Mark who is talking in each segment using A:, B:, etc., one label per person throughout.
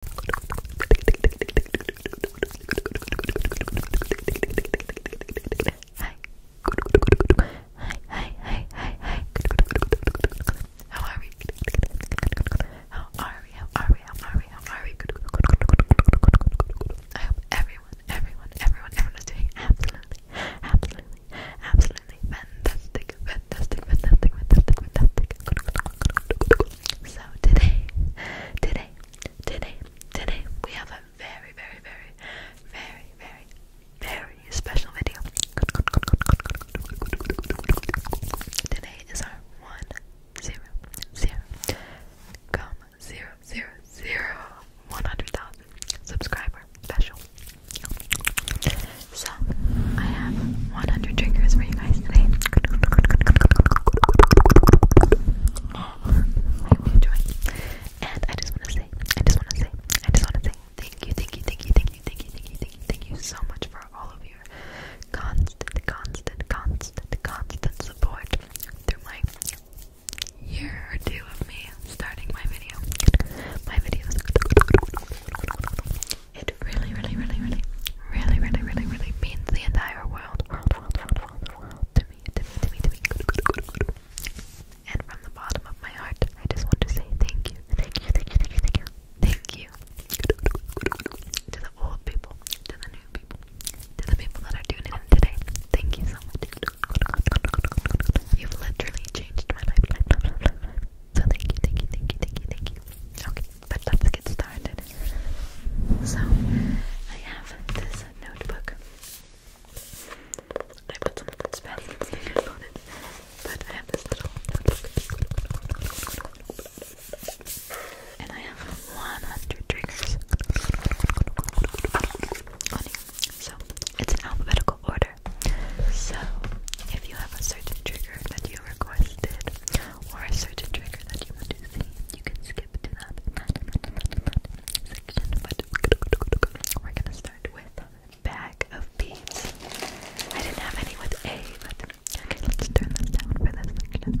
A: Hi. Hi, hi, hi, hi, How are we? How are we? How are we? How are we? I hope everyone, everyone, everyone, everyone is doing absolutely, absolutely, absolutely fantastic, fantastic, fantastic, fantastic, fantastic. So today, today, today, today, we have a very, very, very, very, very, very special video. Today is our one zero zero subscriber special. So I have 100 triggers for you guys today. I hope you enjoyed. And I just want to say, I just want to say, I just want to say thank you, thank you, thank you, thank you, thank you, thank you, thank you, thank you so much for all of your constant, constant, constant, constant support through my year or two of me starting my video, my videos. It really, really, really, really, really, really, really, really means the entire world, world, world, world, world, world to me, to me, to me, to me. And from the bottom of my heart, I just want to say thank you, thank you, thank you, thank you, thank you, thank you to the old people, to the new people, to the people that are tuning in today. Thank you so much. You've literally changed my life. So thank you, thank you, thank you, thank you, thank you. Okay, but let's get started. So, I have this notebook. I put some spelling stickers on it, but I have this little notebook. And I have 100 triggers So, it's in alphabetical order. So, if you have a certain trigger that you requested, or a certain trigger that you would you can skip to that section, but we're gonna start with bag of beads. I didn't have any with A, but okay, let's turn this down for this section.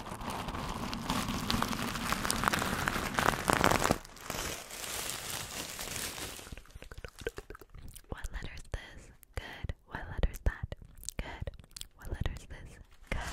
A: What letter is this? Good. What letter is that? Good. What letter is this? Good.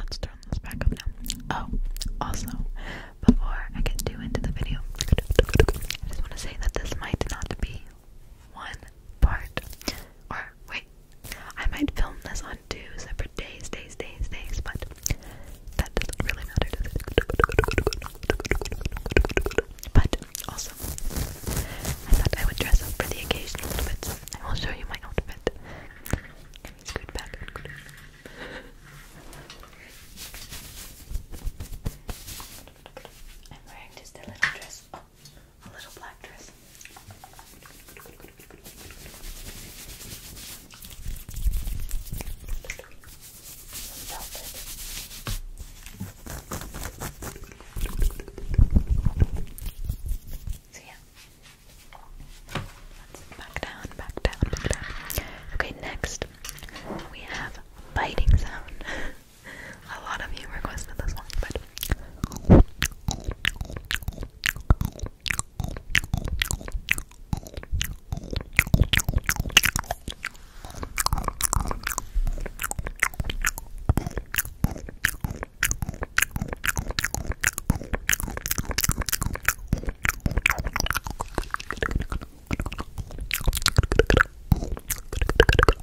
A: Let's turn this back up now. Oh, also, before I get too into the video, I just want to say that this might not be one part. Or wait, I might film this on two separate days, days, days, days, but that doesn't really matter. But also, I thought I would dress up for the occasion a little bit, I will show you my outfit. I'm wearing just a little dress. Oh, a little black dress. So yeah. back down, back down, Okay, next we have biting sound. a lot of you requested this one, but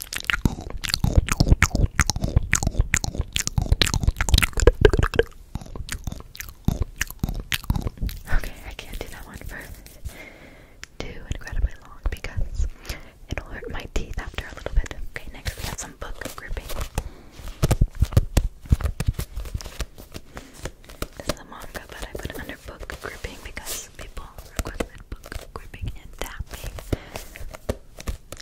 A: Okay, I can't do that one for too incredibly long because it'll hurt my teeth after a little bit. Okay, next we have some book gripping. This is a manga, but I put it under book gripping because people requested book gripping and tapping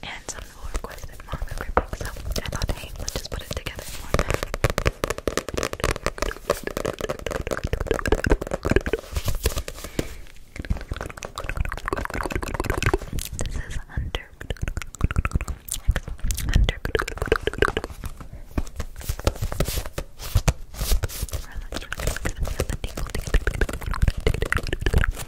A: and some requested more movie I thought, hey, let's just put it together This is Hunter.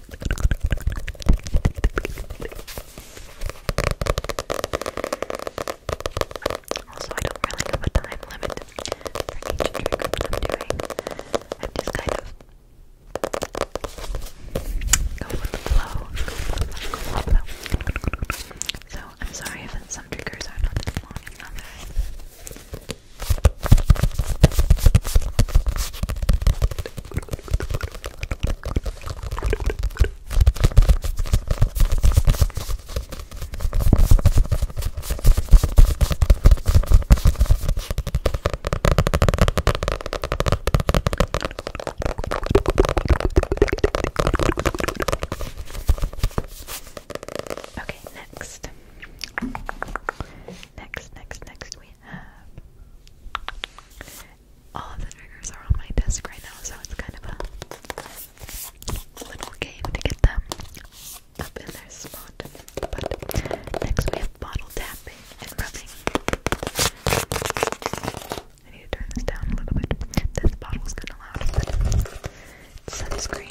A: Also, I don't really have a time limit for each trick that I'm doing. I'm just kind of go with the flow. Go with the flow. Go with the flow. So I'm sorry if some triggers are not as long as others. Okay, next. Next, next, next we have all of the triggers are on my desk right now, so it's kind of a little game to get them up in their spot. But next we have bottle tapping and rubbing. I need to turn this down a little bit. This bottle's kind of loud, sunscreen.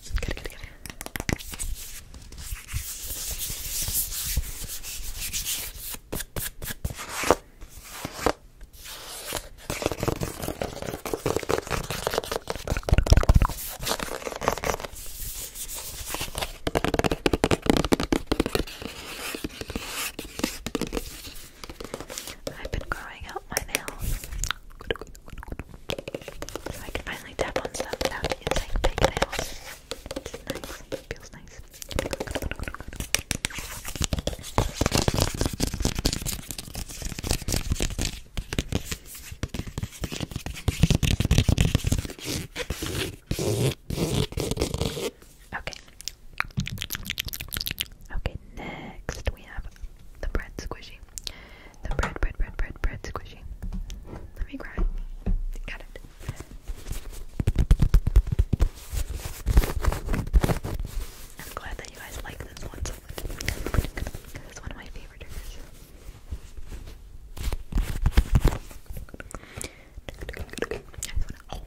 A: Good, good, good. I've been growing out my nails. I can finally tap on stuff without using fake nails. It's nice. feels nice. Okay. Okay, next we have the bread squishy. The bread, bread, bread, bread, bread squishy. Let me grab Got it. I'm glad that you guys like this one it's one of my favorite triggers. I just wanna,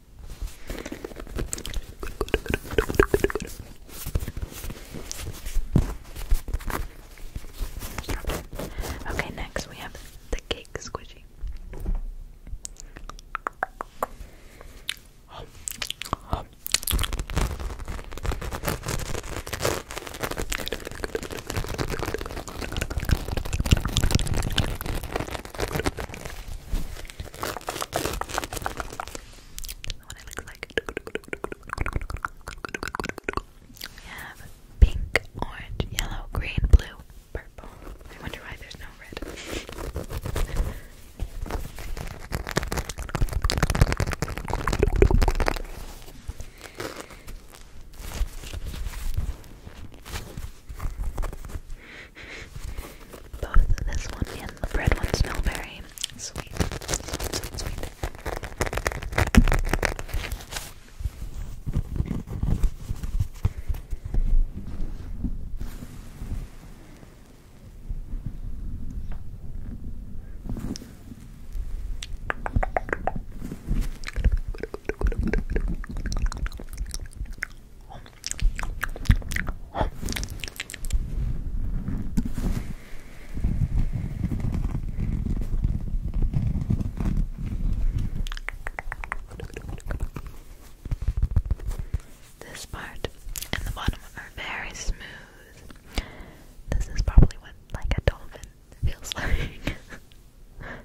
A: Okay, next we have the cake squishy what it We have pink, orange, yellow, green, blue, purple. I wonder why there's no red. Both this one and the bread one smell berry sweet. This part and the bottom are very smooth. This is probably what like a dolphin feels like.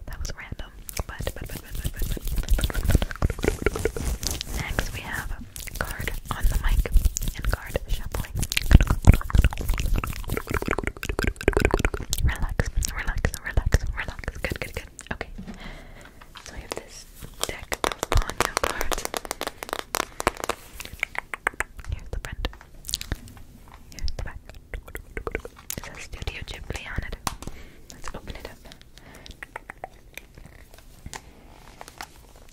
A: that was random. next we have card on the mic and card shuffling. Relax, relax, relax, relax. Good, good, good. Okay. So we have this deck of Ponyo cards. Here's the front. Here's the back. It says Studio Ghibli on it. Let's open it up.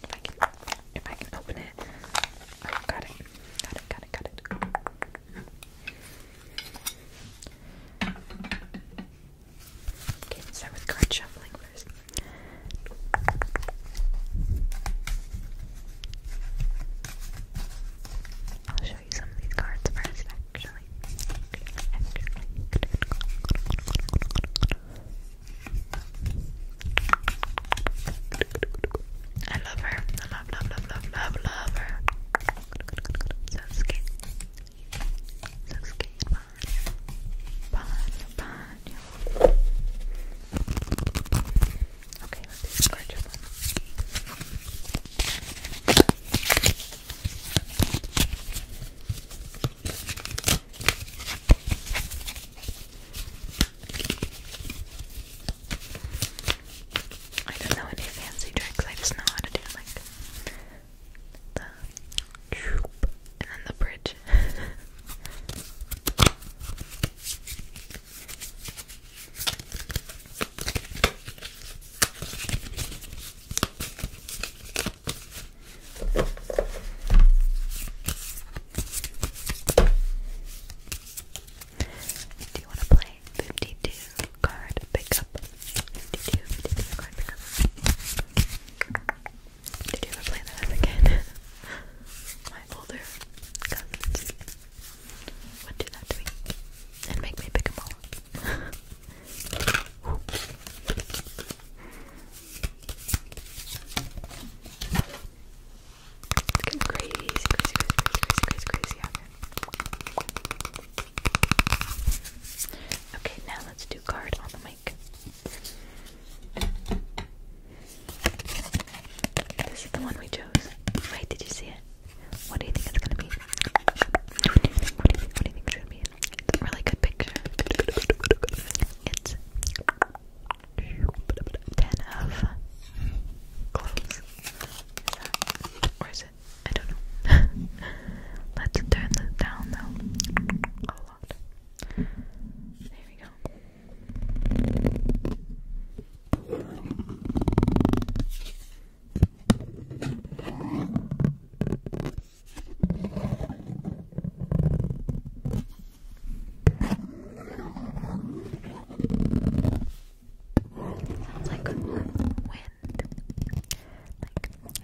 A: If I can, if I can open it. Oh, got it. Got it. Got it. Got it. Okay, let's start with card shuffling first. I'll show you some of these cards first, actually. actually. I love her. love, love, love, love, love, love her. Sasuke. Sasuke and Ponyo. Ponyo, Ponyo. Okay, let's do this gorgeous one. I don't know any fancy tricks, I just know how to do like the troop and then the bridge. Do you want to play 52 card pickup? Did you play that as My older would do that to me and make me pick them all. It's crazy, crazy, crazy, crazy, crazy, crazy Okay, now let's do guard on the mic. This is the one we chose. Wait, did you see it? What do you think it's gonna be? What do you think, what do you think it's gonna be? It's a really good picture. It's 10 of close. Or it? I don't know. Let's turn this down though. A lot. There we go. Sounds like wind, like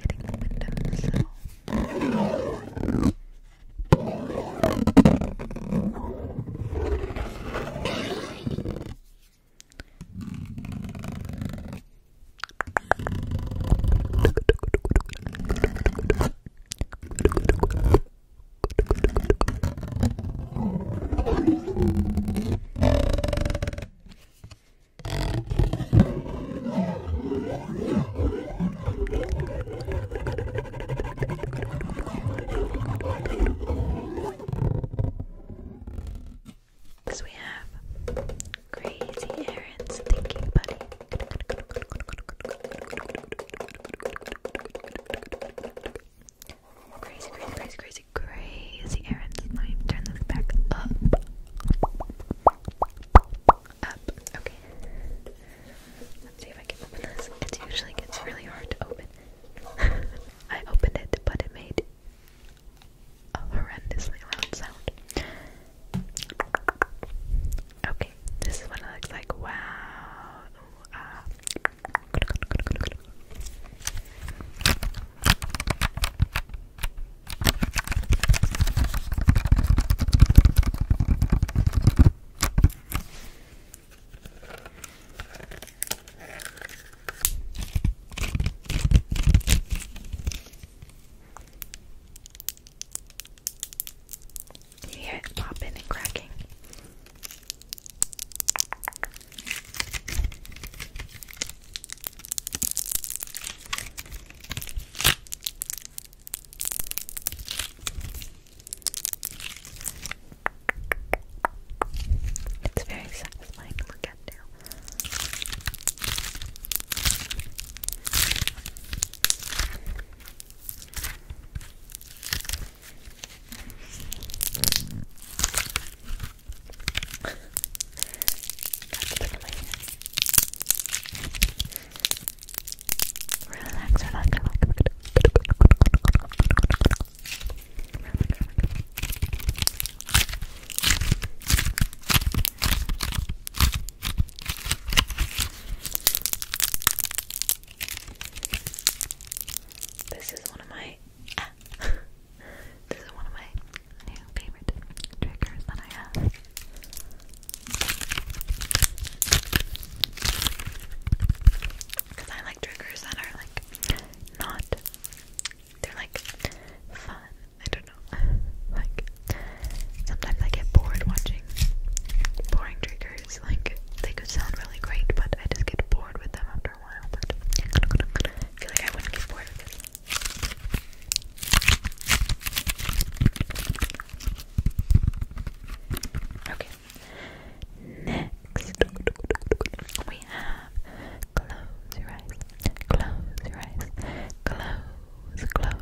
A: hitting the windows. So. So we have Crazy errands. Thank you, buddy. Crazy, crazy, crazy, crazy, crazy errands. Let me turn this back up. Up. Okay. Let's see if I can open this. It usually gets really hard to open. I opened it, but it made a horrendously loud sound. Okay, this is what it looks like. Wow. You hear popping and cracking. It's very satisfying look at now. Got to my hands. Relax, relax, relax, relax. relax. This is one of my this is one of my new favorite triggers that I have. Because I like triggers that are like not they're like fun. I don't know. like Sometimes I get bored watching boring triggers. Like they could sound really great, but I just get bored with them after a while. But I feel like I wouldn't get bored with it. Okay. Next, we have close your eyes, close your eyes, close, close,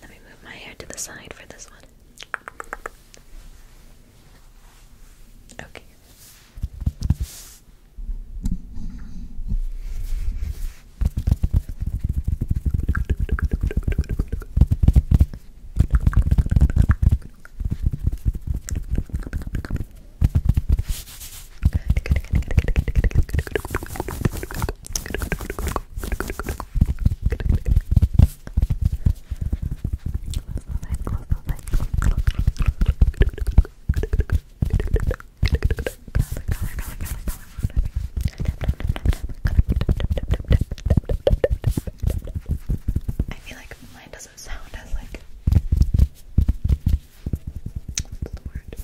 A: Let me move my hair to the side for this one. Okay. I feel like mine doesn't sound as like what's the word?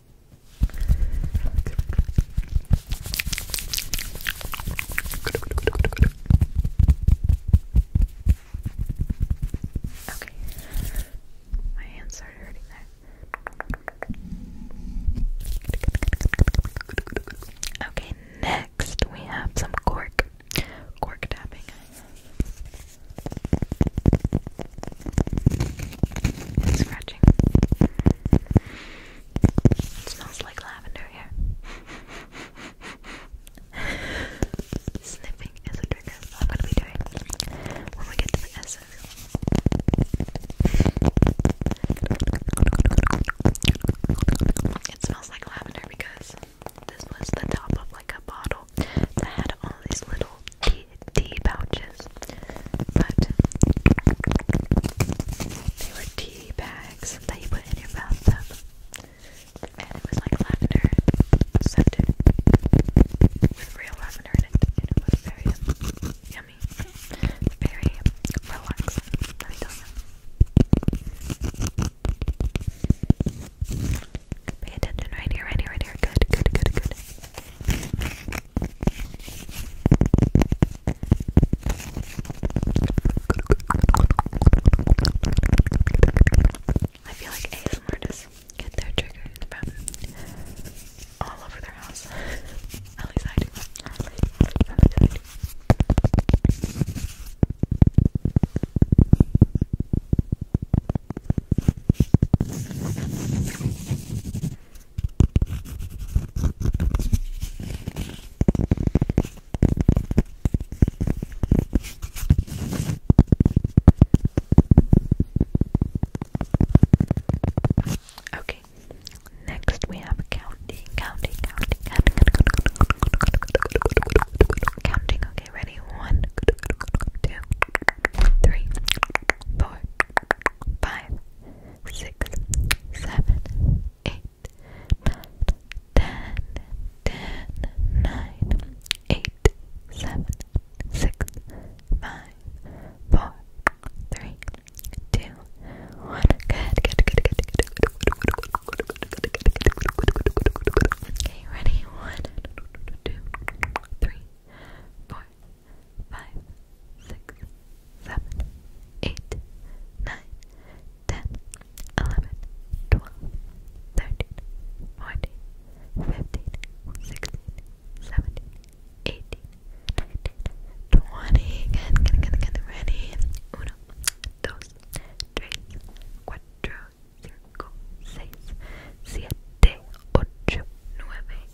A: Okay. My hands started hurting Okay, next we have some cork. Cork tapping scratching. It smells like lavender here. Sniffing is a trigger. I'm going doing when we get to the essence. It smells like lavender because this was the top of like a bottle that had all these little tea, pouches, but they were tea bags that you put in your bathtub, um, and it was like lavender scented with real lavender in it, it was very yummy, very relaxing. Let me tell Pay attention right here, right here, right here. Good, good, good, good. I feel like ASMR just get their triggers from all over their house. At least I do. Okay, next we have counting, counting, counting, counting, counting. Okay, ready? One, two, three, four five, six, seven, eight, nine, ten, ten, nine, eight, seven, six, five, four, three, two, one. Good, good, good, good, good. Okay, ready? One, two, three, four five, six, seven, eight, nine, ten, eleven, twelve, thirteen, fourteen, fifteen, sixteen, seventeen, eighteen, nineteen, twenty. Good, good, good, good. Ready? Uno, dos, tres, cuatro, cinco, seis, siete, ocho, nueve.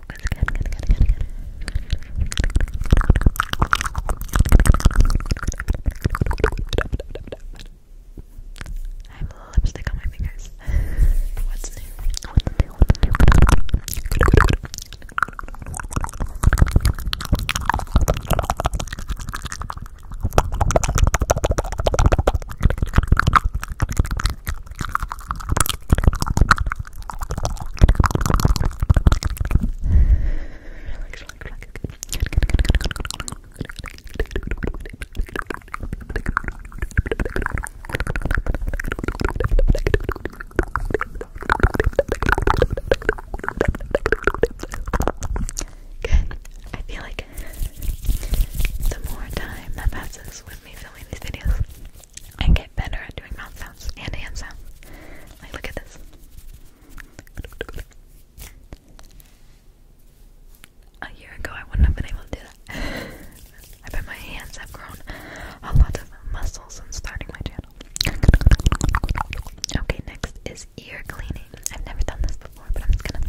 A: focus. Good, good, good, good, good. I have lipstick on my fingers. What's new? What's new? What's new? Good. I feel like the more time that passes with me filming these videos, and get better at doing mouth sounds and hand sounds. Like, look at this. A year ago, I wouldn't have been able to do that. I bet my hands have grown a lot of muscle since starting my channel. Okay, next is ear cleaning. I've never done this before, but I'm just gonna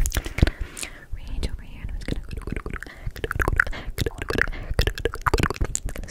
A: reach over here and I'm just going gonna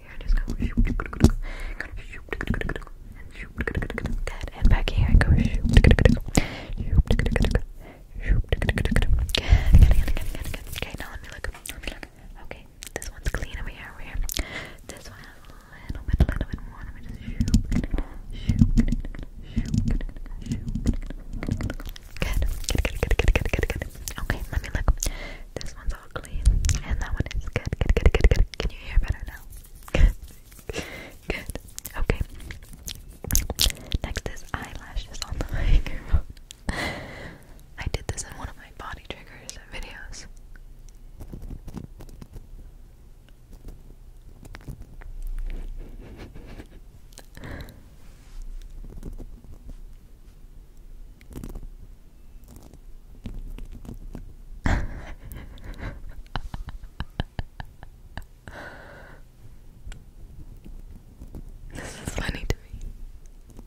A: here, just go Good, and back here, go Okay, let me look, Okay, this one's clean over here, over here This one Okay, let me look this one's all clean, and that one is good, good, good, good, good. Can you hear better now? Good, Okay. Next is eyelashes on the microphone. I did this in one of my body triggers videos this is funny to me.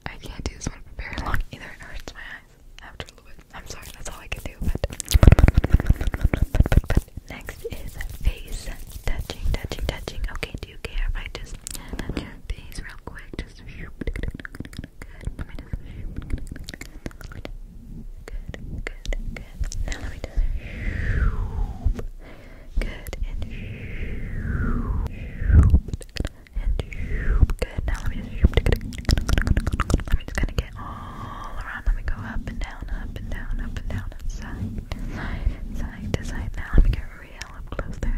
A: I can't do this one for very long either. It hurts my eyes I'm sorry, that's all I can do. next is face touching, touching, touching. Okay, do you care I just face real quick? Just Good. Let me just. Good. Good. Good. Good. Now let me just. Good and and good. Now let me just. Let me just kind of get all around. Let me go up and down, up and down, up and down, up side, side, side to side. Now let me get real up close there.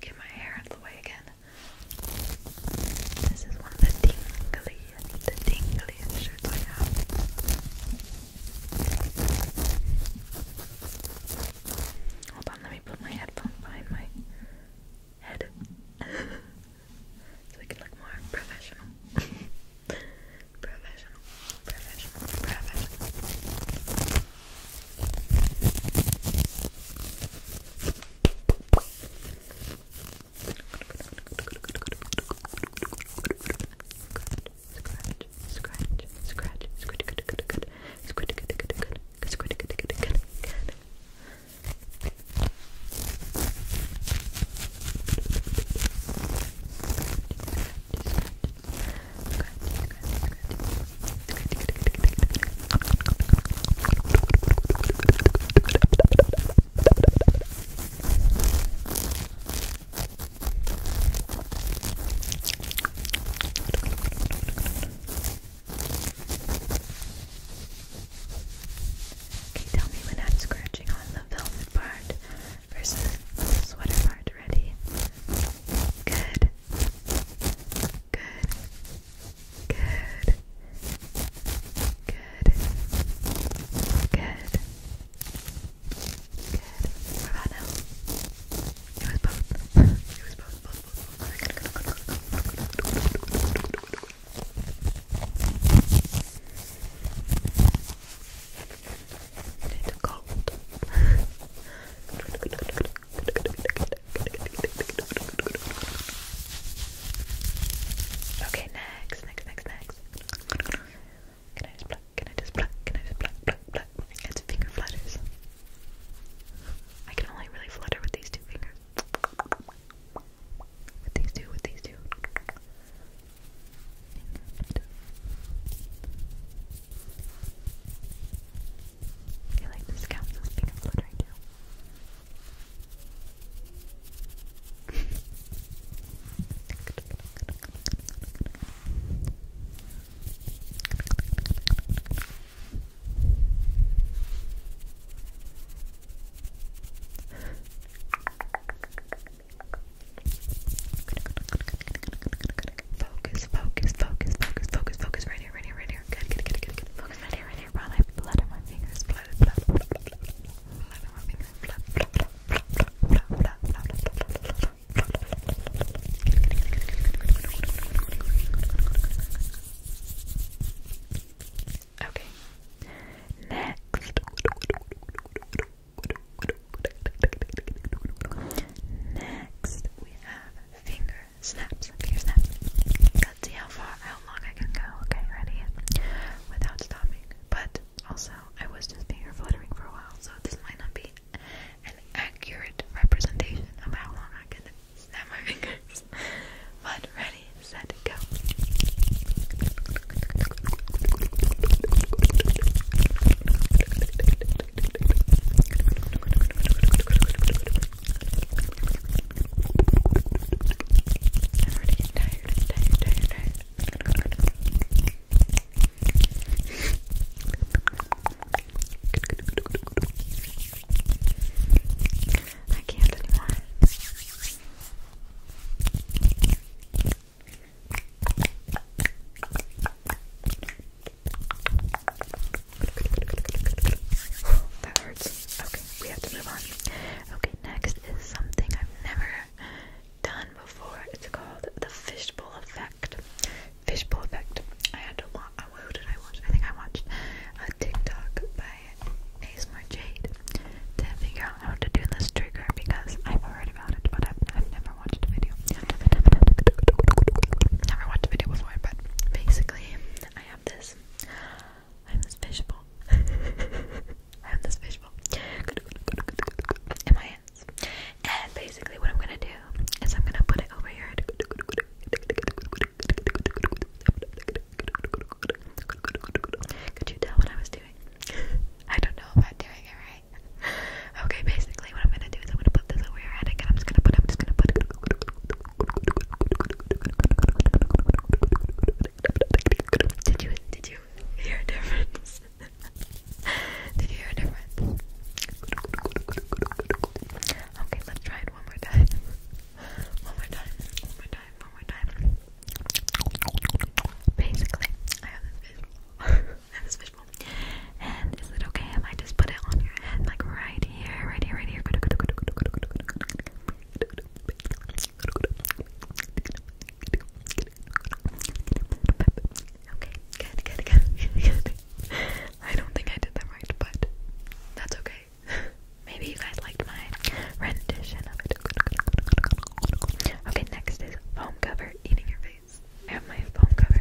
A: Get my hair out of the way again. This is one of the tingliest, the tingliest shirts I have. Hold on, let me put my headphone behind my head so I can look more professional. professional, professional, professional. Scratch, scratch, scratch, good, good, good, scratch, good, good, good, scratch, good, good, good, good. Scratch, scratch, Okay, tell me when I'm scratching on the velvet part versus sweater part. Ready? Good. Good. Good. Good. Good. Good. What about now? It was both. It was both. Okay, next, next, next, next. Can I just pluck? Can I just pluck? Can I just pluck, pluck, pluck? It's finger flutters. I can only really flutter with these two fingers. With these two, with these two. I feel like this counts as being a flood right now. Focus, focus, focus, focus, focus, focus, right here, right here, right here. Good, good, good, good, Focus right here, right here. While I flutter my fingers, flutter, flutter, flutter, flutter my fingers, flutter, flutter, flutter, flutter, flutter, flutter, flutter, flutter. Okay. Next. Next, we have finger snaps, Let's see how far, how long I can go. Okay, ready? Without stopping. But also, I was just finger fluttering for a while, so this might not be an accurate representation of how long I can snap my fingers. But ready, set, go. I'm already getting tired, tired, tired, tired. I can't anymore that hurts. Okay, we have to move on. Okay, next is something I've never done before. It's called the fishbowl effect. Fishbowl effect. I had to watch. Uh, who did I watch? I think I watched a TikTok by ASMR Jade to figure out how to do this trigger because I've heard about it, but I've never watched a video. Never watched a video before, but basically, I have this. I have this fishbowl. I have this fishbowl in my hands. And basically, what I'm gonna do is I'm gonna put it over here. Could you tell what I was doing? I don't know if I'm doing it Okay, basically what I'm gonna do is I'm gonna put this over your head again. I'm just gonna put Did you did you hear a difference? did you hear a difference? Okay, let's try it one more time. One more time, one more time, one more time. Basically, I have this visual. I have this visual. And is it okay if I just put it on your head, like right here, right here, right here? Okay, good, good, good, I don't think I did that right, but that's okay. Maybe you guys liked my rendition of it. Okay, next is foam cover eating your face. I have my foam cover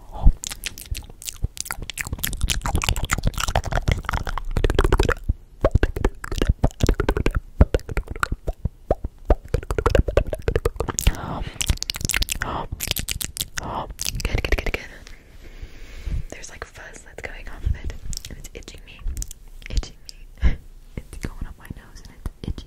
A: Good, good, good, good. There's like fuzz that's going on with it. And it's itching me. Itching me. It's going up my nose and it's itchy.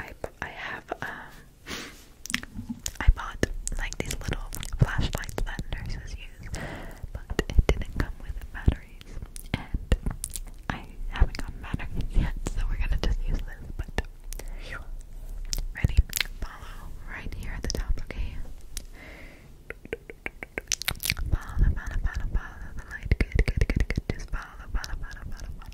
A: I I have um I bought like these little flashlights that nurses use, but it didn't come with batteries, and I haven't gotten batteries yet, so we're gonna just use this. But ready? Follow right here at the top, okay? Follow, follow, follow, follow the light. Good, good, good, good. Just follow, follow, follow, follow, follow.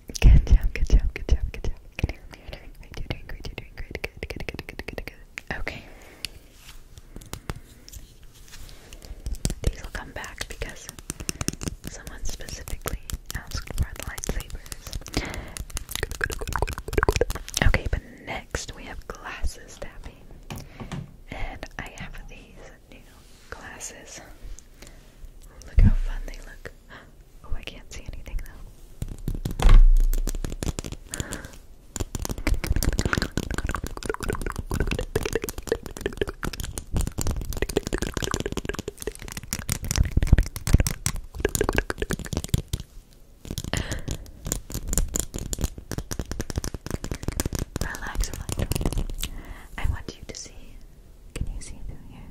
A: Good job, good job, good job, good job. Good job. You're doing great, you're Good, good, good, good, good, good. Okay. These will come back because someone specifically asked for the lightsabers. Okay, but next we have glasses tapping. And I have these new glasses. Look how fun they look. Oh, I can't see anything though. Relax, relax. I want you to see. Can you see through here?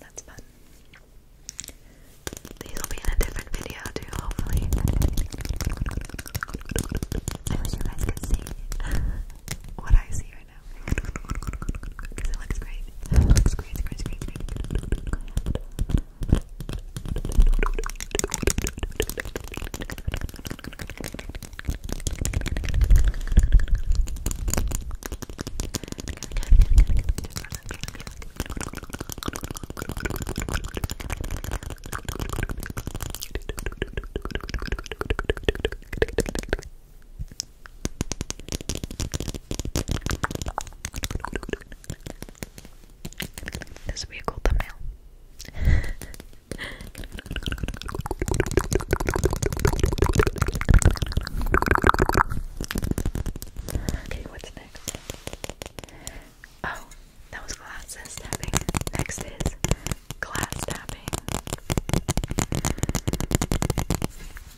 A: That's fun. These will be in a different video too, hopefully. I wish you guys could see what I see right now. Because it looks great. This would be a cool thumbnail. Okay, what's next? Oh, that was glasses tapping. Next is glass tapping.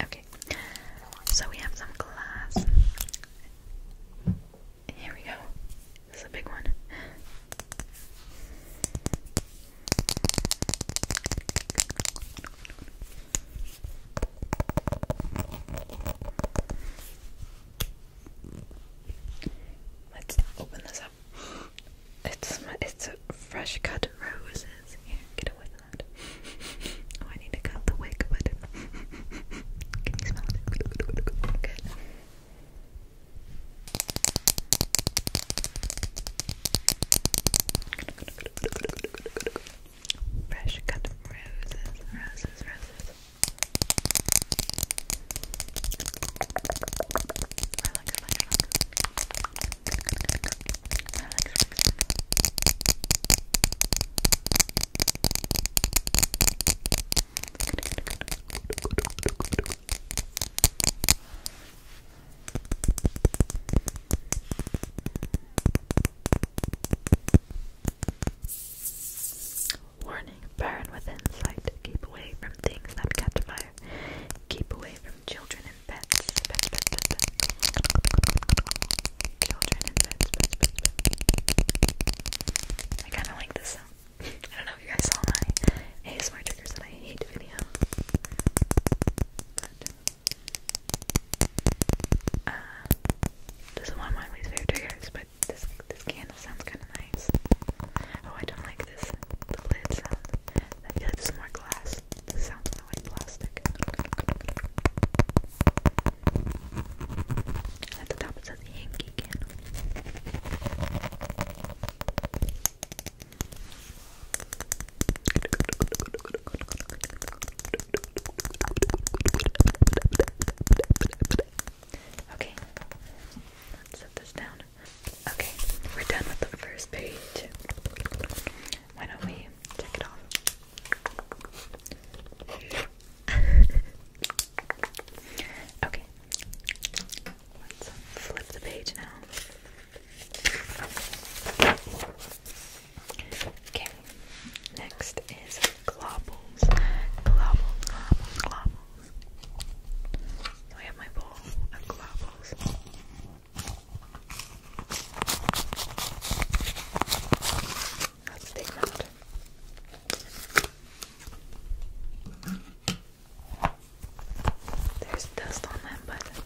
A: Okay, so we have some glass. Here we go. This is a big one. Let's open this up. It's it's fresh cut roses. get away from that. Oh, I need to cut the wig, can you smell it? Fresh cut roses, roses, roses. Relax, relax, relax. Relax, relax. Good, good, good. Warning, burn with insight. Keep away from things that catch fire. Keep away from children and pets. I kind of like this sound. I don't know if you guys saw my ASMR triggers that I hate video. Uh, this is one of my least favorite triggers, but this this candle sounds kind of nice. Oh, I don't like this. The lid sound. I feel like this more glass. This sounds like plastic. At the top it says Yankee candle. Okay, let's set this down. Okay, we're done with the first page. Why don't we check it off? okay, let's flip the page now. Okay, next is globbles. Globbles, globbles, globbles. I have my bowl of globbles. Let's take them There's dust on them, but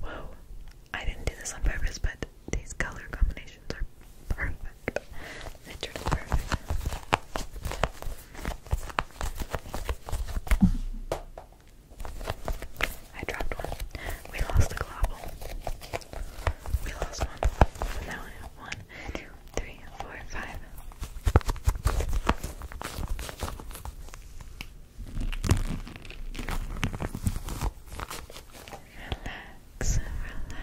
A: Whoa, I didn't do this on purpose, but these color combinations are perfect. I dropped one. We lost the global. We lost one. Now I have one, two, three, four, five. Relax, relax.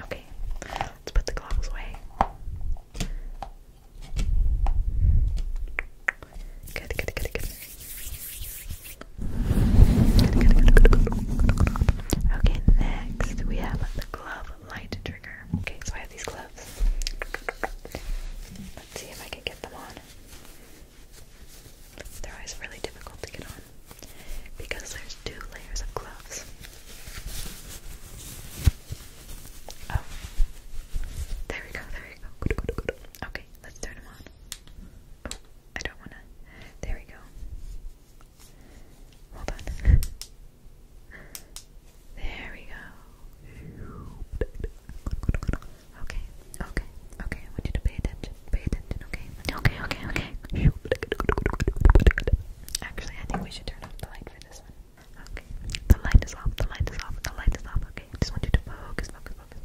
A: Okay, let's put the gloves away. Okay, next we have the glove light trigger. Okay, so I have these gloves. Let's see if I can get them on. They're always really difficult to get on because there's two layers of gloves. Oh, there we go, there we go. Okay, let's turn them on. I don't want to. There we go. Hold on. there we go. Okay, okay, okay. I want you to pay attention. Pay attention, okay? Okay, okay, okay. Actually, I think we should turn off the light for this one. Okay. The light is off, the light is off, the light is off. Okay, I just want you to focus, focus, focus.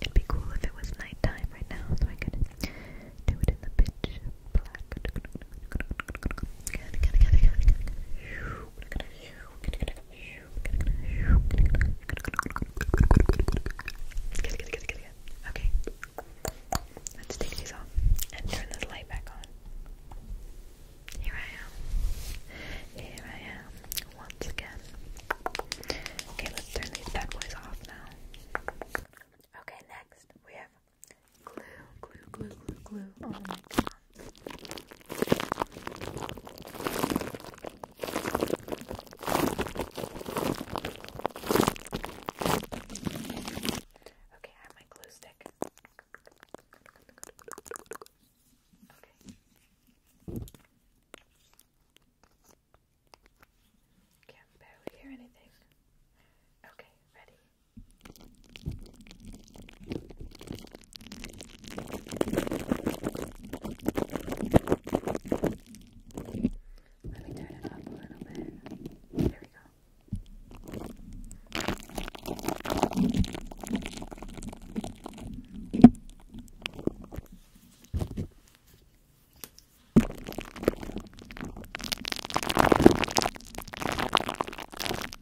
A: It'd be cool if it was nighttime right now, so I could do it in the pitch black. Okay. Let's take these off and turn this light back on. Here I am. Here I am. Once again. Okay, let's turn these bad boys off now. Okay, next we have glue, glue, glue, glue, glue. Oh my god. Okay, I have my glue stick. Okay. Can't barely hear anything. Okay, ready. Let me turn it up a little bit. There we go.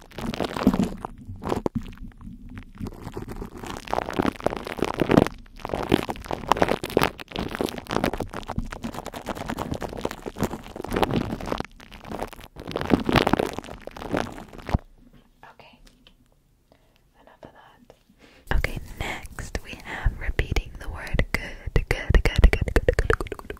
A: Okay. Enough of that. Okay, next we have repeating the word good, good, good, good, good, good, good, good,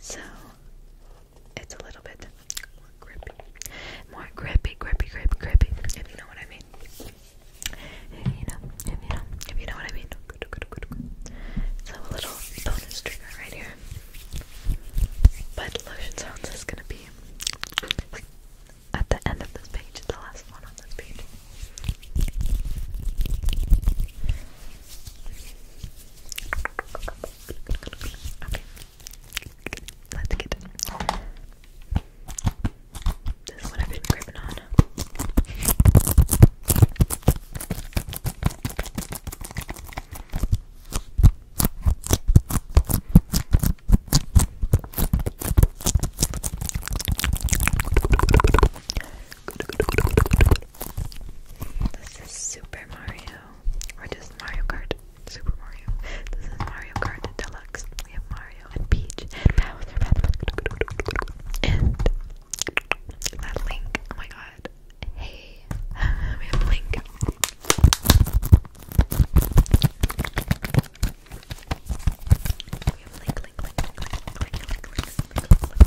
A: So it's a little bit more grippy. More grippy, grippy, grippy, grippy, if you know what I mean. If you know, if you know, if you know what I mean. So a little bonus trigger right here. But lotion sounds is gonna be at the end of this page, the last one on this page. Okay. Let's get it. This is what I've been gripping on. This is Super Mario, or just Mario Kart. Super Mario. This is Mario Kart Deluxe. We have Mario and Peach and Bowser and Link. Oh my God. Hey, we have Link. We have Link, Link, Link, Link, Link, Link, Link, Link, Link,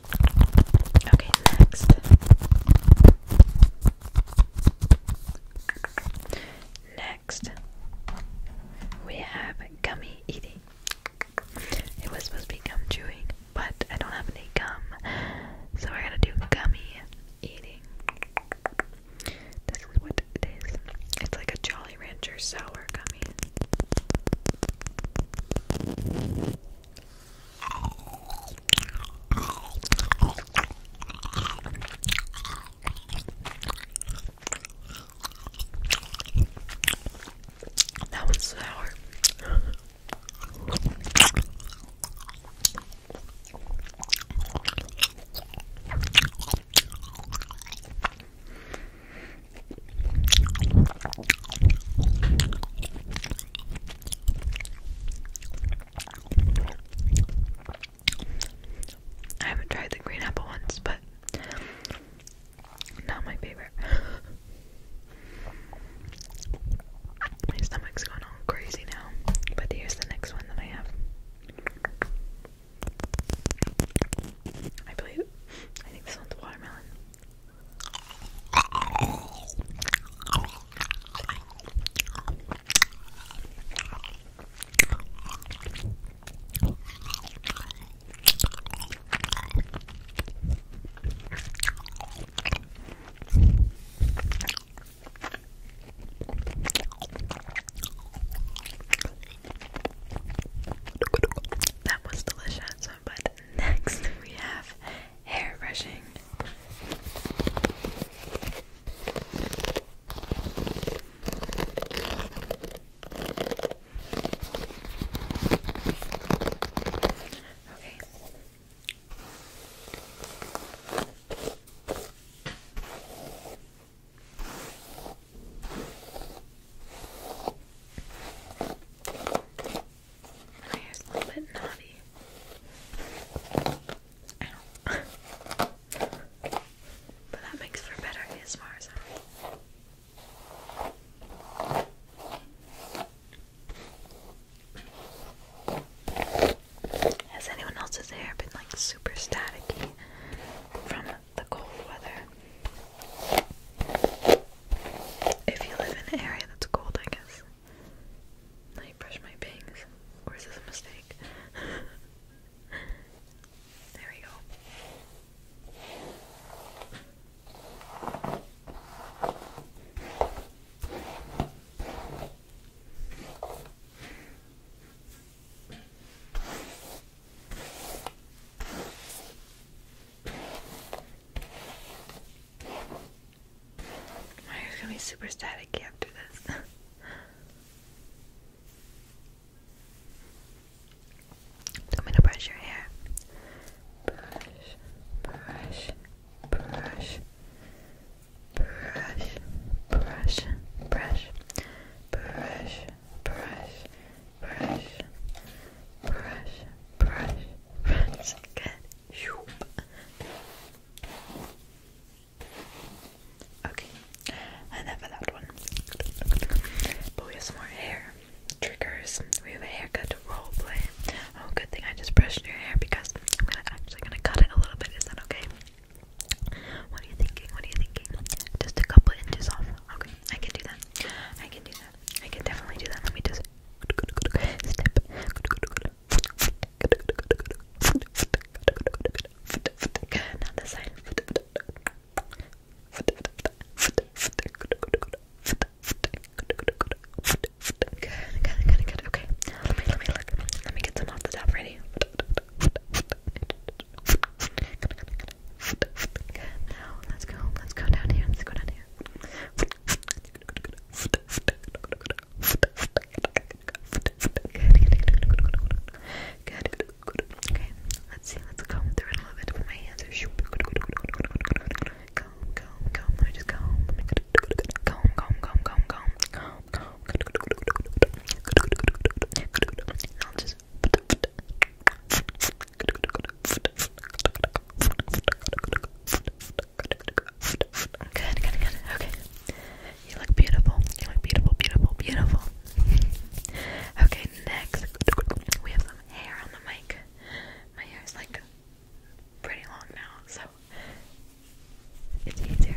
A: Okay, next. Next, we have gummy eating. It was supposed to be gum chewing, but I don't have any gum, so I are gonna do gummy eating. This is what it is. It's like a Jolly Rancher sour gummy. That one's sour. I haven't tried the green apple ones, but not my favorite. my stomach's going all crazy now. But here's the next one that I have. I believe I think this one's watermelon. That was delicious, but next we have hair brushing. Okay. My hair's a little bit knotty. but that makes for better ASMR Has anyone else's hair been like super staticky from the cold weather? If you live in an area that's cold, I guess. I brush my bangs, or is this a mistake? there we go. My hair's gonna be super staticky after this. I'm gonna brush your hair. Brush, brush, brush, brush, brush, brush, brush, brush, brush, brush, brush, brush. Good. Okay, I never that one. But we have some more hair triggers. We have a haircut role play. Oh, good thing I just brushed your hair because I'm to actually gonna cut it a little bit. Is that okay? What are you thinking? What are you thinking? Just a couple inches off. Okay, I can do that. I can do that. I can definitely do that. Let me just step, Another sign. Good, good, good, good. Okay. Let me let me look. Let me get some off the top ready. Good. Now let's go. Let's go down here. Let's go down here. Good. Okay, let's see. Let's comb through it a little bit with my hands. Comb, comb, comb. Let me just comb. Comb, comb, comb, comb, comb. Comb, comb. I'll just. Good, good, Okay. You look beautiful. You look beautiful, beautiful, beautiful. okay, next. We have some hair on the mic. My hair is like pretty long now, so it's easier.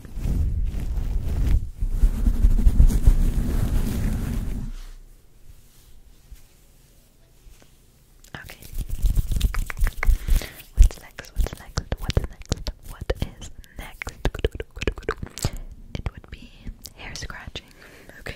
A: Okay. What's next? What's next? What's next? What is next? It would be hair scratching. Okay.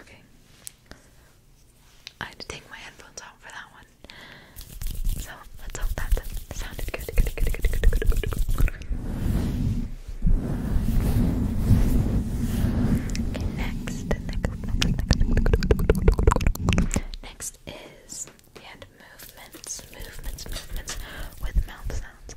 A: Okay. I had to take my headphones out for that one. So let's hope that sounded good. good, good, good, good, good, good, Okay, next, next, next is and movements, movements, movements with mouth sounds.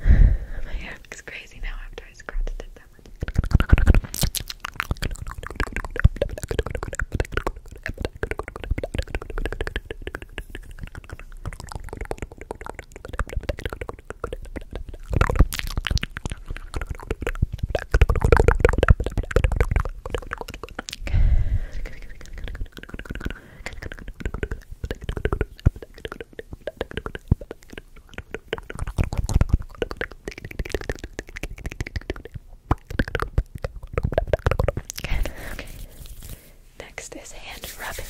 A: My hair looks crazy now after I scratched it that much. Good. Okay. Next is hand rubbing.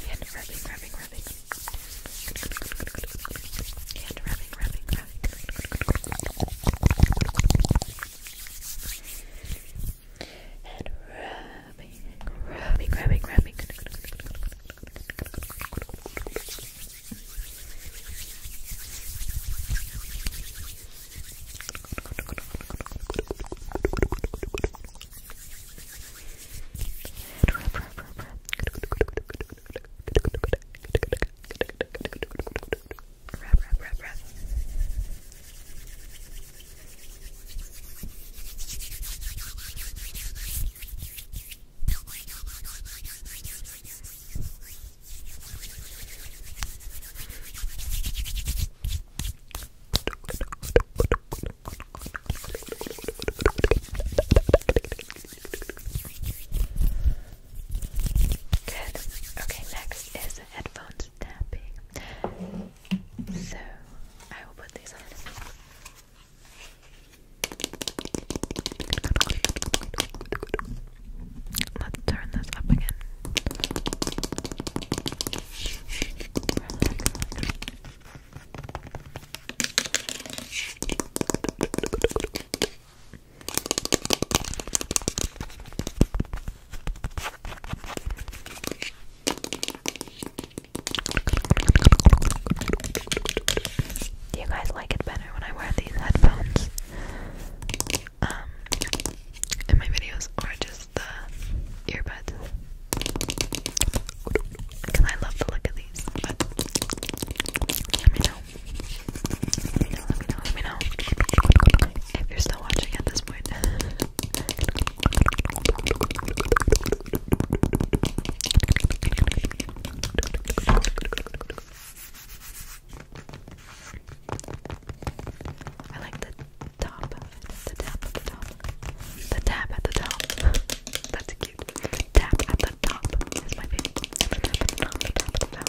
A: Hand rubbing, rubbing, rubbing. Hand rubbing, rubbing, rubbing. And rubbing, rubbing, rubbing, rubbing. Good, good, good, good, good, Rub, rub, rub, rub. Okay, next is the headphones tapping. So I will put these on. Let's turn this up again you guys like it better when I wear these headphones? Um, in my videos or just the earbuds? Because I love the look of these, let me know, let me know, let me know. If you're still watching at this point. I like the top, the tap at the top, the tap at the top. That's cute. tap at the top is my favorite. tap at the top.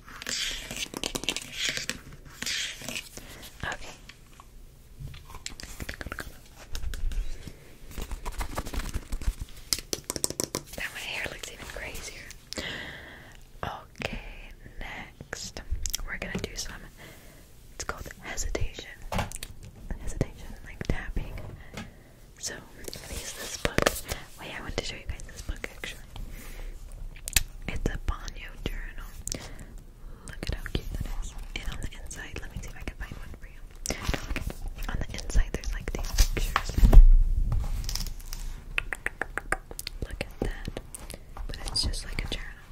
A: Now my hair looks even crazier. Okay, next we're gonna do some. It's called hesitation. Hesitation, like tapping. So I'm gonna use this book. Wait, I want to show you guys this book actually. It's a Banyo journal. Look at how cute that is. And on the inside, let me see if I can find one for you. On the inside, there's like these pictures. Look at that. But it's just like a journal.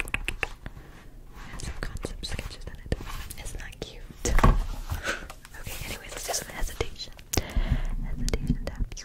A: It has some concept sketches in it. It's not cute. okay, anyways, let's do some hesitation. Hesitation taps.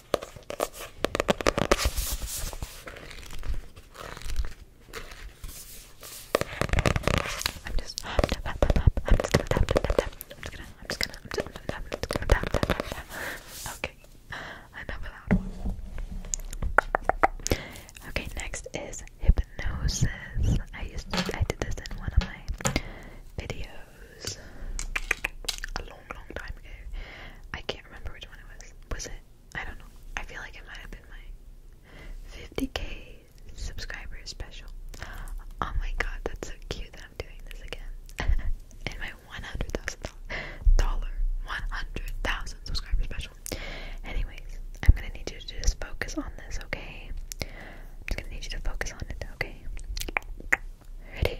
A: I'm just I'm just gonna I'm just gonna tap tap tap I'm just gonna I'm just gonna I'm just gonna tap I'm just gonna tap tap tap tap Okay. Another loud one. Okay, next is hypnosis. I used to I did this in one of my videos a long, long time ago. I can't remember which one it was. Was it? I don't know. I feel like it might have been my 50k subscribers special. Oh my god, that's so cute that I'm doing this again. In my 100,000 dollar, 100,000 subscriber special. Anyways, I'm gonna need you to just focus on this, okay? I'm gonna need you to focus on it, okay? Ready?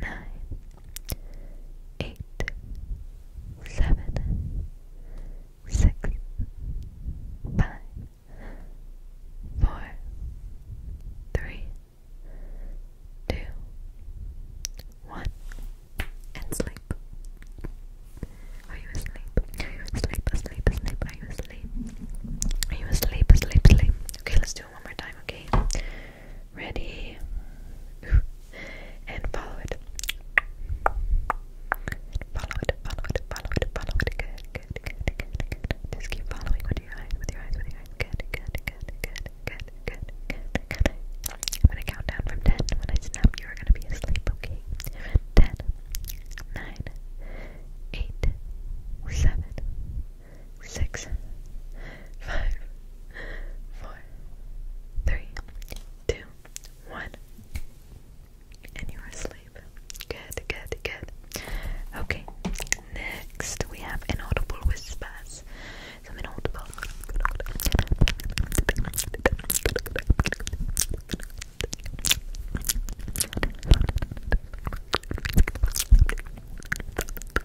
A: nine, eight, seven, six, five, four, three, two, one, and sleep. Are you asleep? Are you asleep? Asleep? Asleep? Are you asleep? Are you asleep? Asleep? Asleep? Okay, let's do it one more time. Okay ready, and follow it. Follow it, follow it, follow it, follow it. Good, good, good, good, Just keep following with your eyes, with your eyes, with your eyes. Good, good, good, good, good, good, good, I'm gonna count down from ten. When I snap, you are gonna be asleep, okay? Ten, nine, eight, seven, six, five, four four, three, two, one. And you're asleep. Good, good, good. Okay, next we have inaudible whispers. Some inaudible.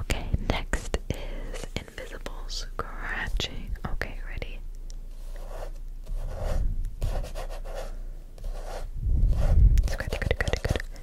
A: Okay, next is invisible scratching. Okay, ready? Scratch,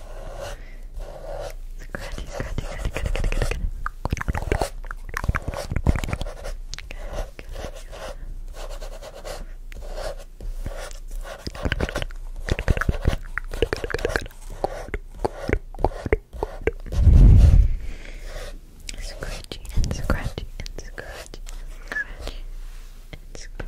A: Scratchy, scratchy, scratchy, scratchy, scratchy, scratchy. Scratchy and scratchy and scratchy scratchy and scratchy.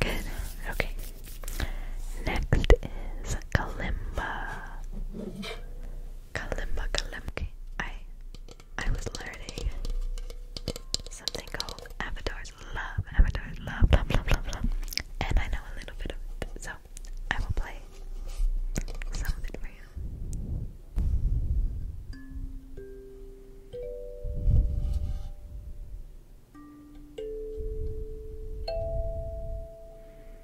A: Good. Okay. Next is kalimba kalimba kalimki. I I was learning something called Avatar's Love. Avatar's Love, love, love, love, love. And I know a little bit of it, so I will play some of it for you. Thank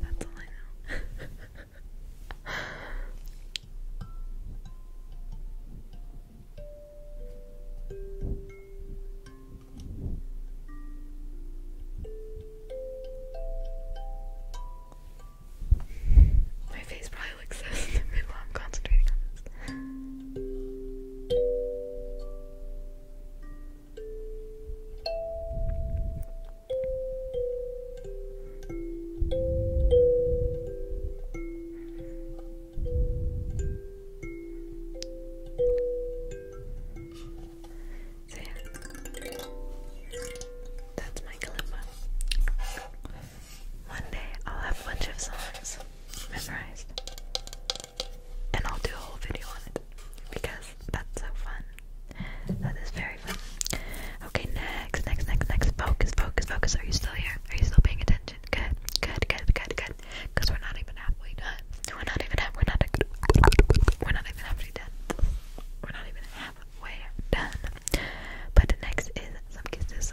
A: that's all I know. My face probably looks so stupid while I'm concentrating on this. So yeah, that's my kalimba. One day I'll have a bunch of songs memorized. And I'll do a whole video on it because that's so fun. That is very fun. Okay, next, next, next, next. Focus, focus, focus. Are you still here? Are you still paying attention? Good, good, good, good, good. Because we're not even halfway done. We're not even half. We're not. We're not even halfway done. We're not even halfway done. But next is some kisses.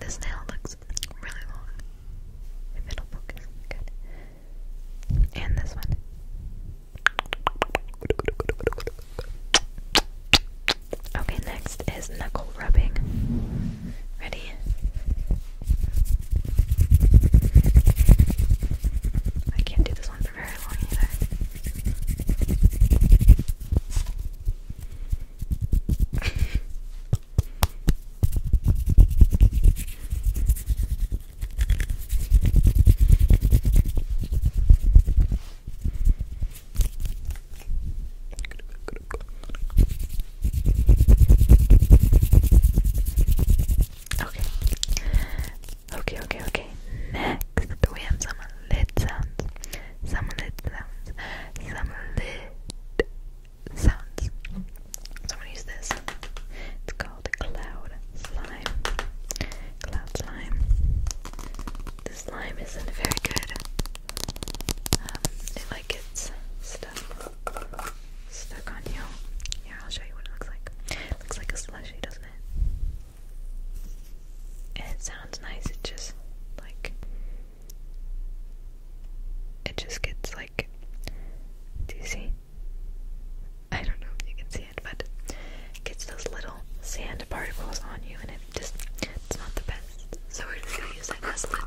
A: This nail looks really long. If it'll good. And this one. Okay, next is knuckle rubbing. Ready? I can't do this one for very long either. Okay. Okay, okay, okay. Next we have some lid some lit sounds, some lit sounds. So use this. It's called Cloud Slime. Cloud Slime. This slime isn't very good. Um, it like gets stuck, stuck on you. Yeah, I'll show you what it looks like. It looks like a slushy, doesn't it? It's sounds nice, it just like it just gets like do you see? I don't know if you can see it, but it gets those little sand particles on you and it just it's not the best. So we're just gonna use a lid sound.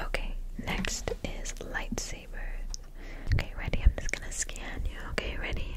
A: Okay, next is lightsabers. Okay, ready? I'm just gonna scan you. Okay, ready?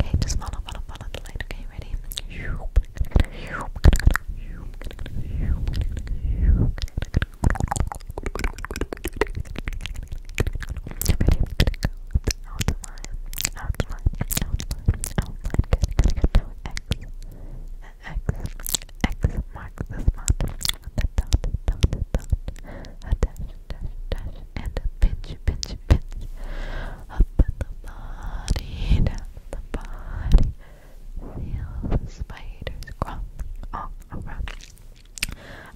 A: Okay, just follow, follow, follow the light. Okay, ready? Outline, outline, outline, outline. Good, X, X, X marks the spot dash, dash, dash, and a pinch, pinch, measurements up the body, down the body. Feel the spiders crawling all around.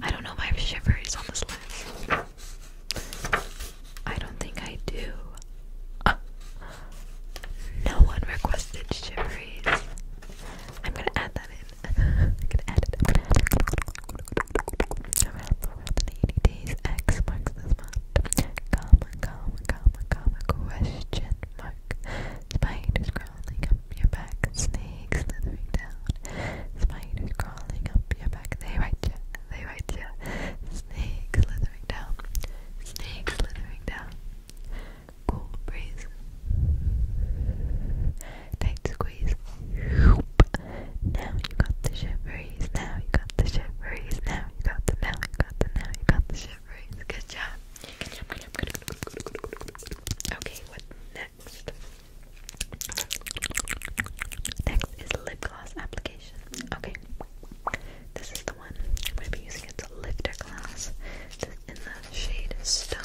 A: I don't know if I have shivers on this list. I don't think I do. no one requested shiveries. I'm gonna add that in. I'm gonna add it. 480 days. X marks this month. Comma, comma, comma, comma, question mark. Spiders crawling up your back. Snakes slithering down. Spiders crawling up your back. They right you. They right you. Snakes slithering down. Snakes slithering down. Cool breeze. Tight squeeze. Whoop. Now you got the shiveries. Now you got the shiveries. Now you got the. Now you got the. Now you got the shiveries. Good job. Good job. Good job. Good job. Good job. Good job. Good job. Okay. What next? Next is lip gloss application. Okay. This is the one I'm going to be using. It's a lifter glass this in the shade Stone.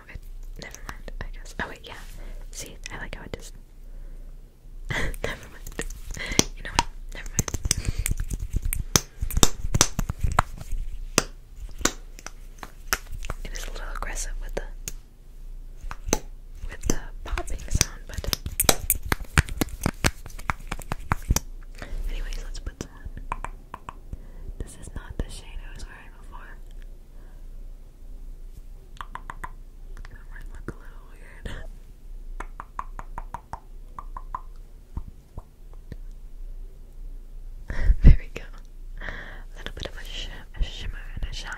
A: Oh, never mind, I guess. Oh wait, yeah. See, I like how it just never mind. You know what? Never mind. It is a little aggressive with the with the popping sound, but anyways, let's put that. This is not the shade I was wearing before. That might look a little weird. there we go. A little bit of a shimmer and a shine.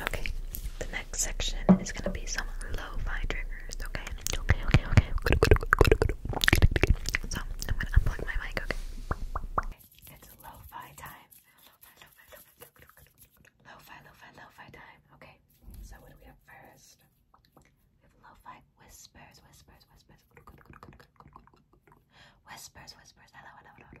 A: Okay, the next section is gonna be some lo triggers, okay? Okay, okay, okay. So I'm gonna unplug my mic, okay? It's lo time. Lo-fi, lo-fi, lo-fi, lo-fi, time. Okay. So what do we have first? We have whispers, whispers, whispers. Whispers, whispers. Hello, hello, hello.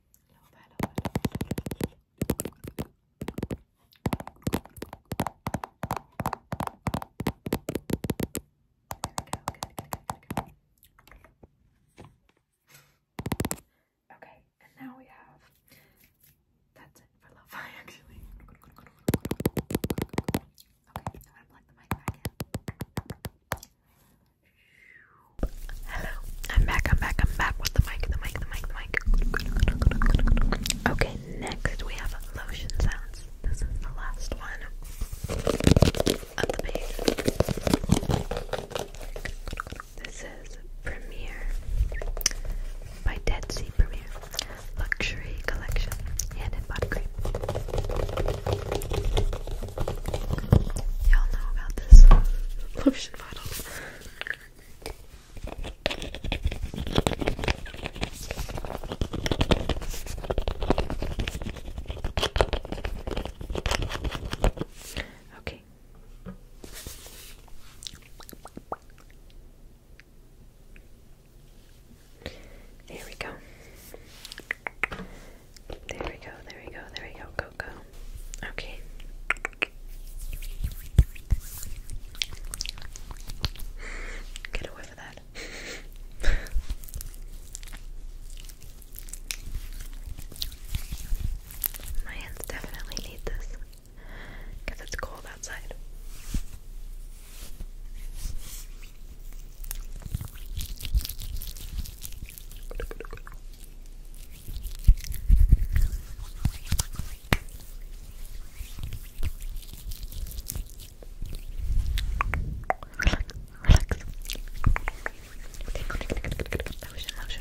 A: A little Okay, and now we have. That's it for lo fi, actually. Okay, I'm the mic back Hello, I'm back, I'm back, I'm back with the mic, the mic, the mic, the mic. Okay, next we have lotion sounds. This is the last one of the page. This is Premiere by Dead Sea Premiere Luxury Collection Hand and Body Cream. Y'all know about this lotion bottle. Okay. There we go. There we go, there we go, there we go, go, Okay. Get away with that. My hands definitely need this because it's cold outside. Relax. Lotion, lotion,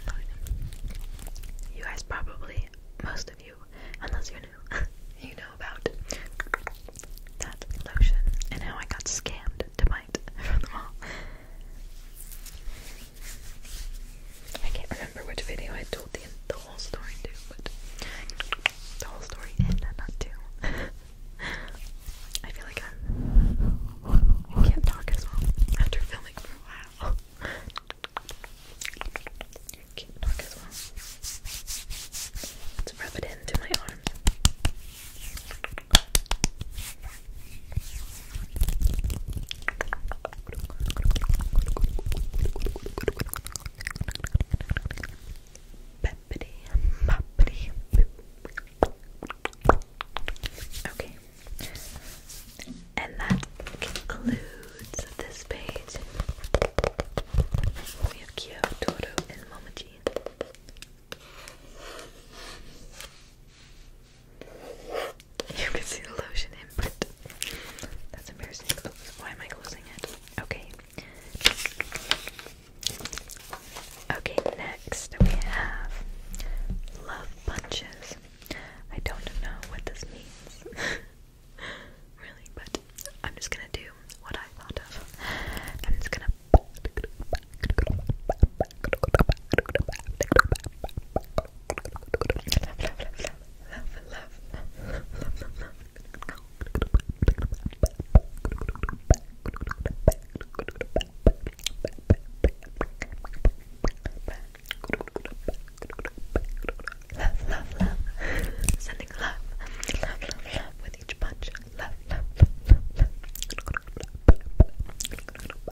A: lotion. You guys probably, most of you, unless you're new, you know about that lotion and how I got scammed to buy I can't remember which video I told the, whole story to, but the whole story and not two. I feel like I'm, I can not talk as well after filming for can't talk as well. Let's rub it into my arms. Okay. And that concludes this page. We have Kyo, and Momoji. You can see the lotion input. That's embarrassing. why am I closing it? Okay. Okay, next we have love punches. I don't know what this means. really, but I'm just gonna do what I thought of. I'm just gonna love, love. Sending love, love, love, love with each punch. Love, love, love, love, love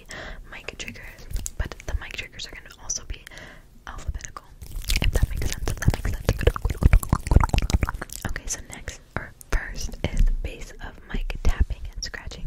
A: mic triggers, but the mic triggers are gonna also be alphabetical. if that makes sense. Okay, so next or first is base of mic tapping and scratching.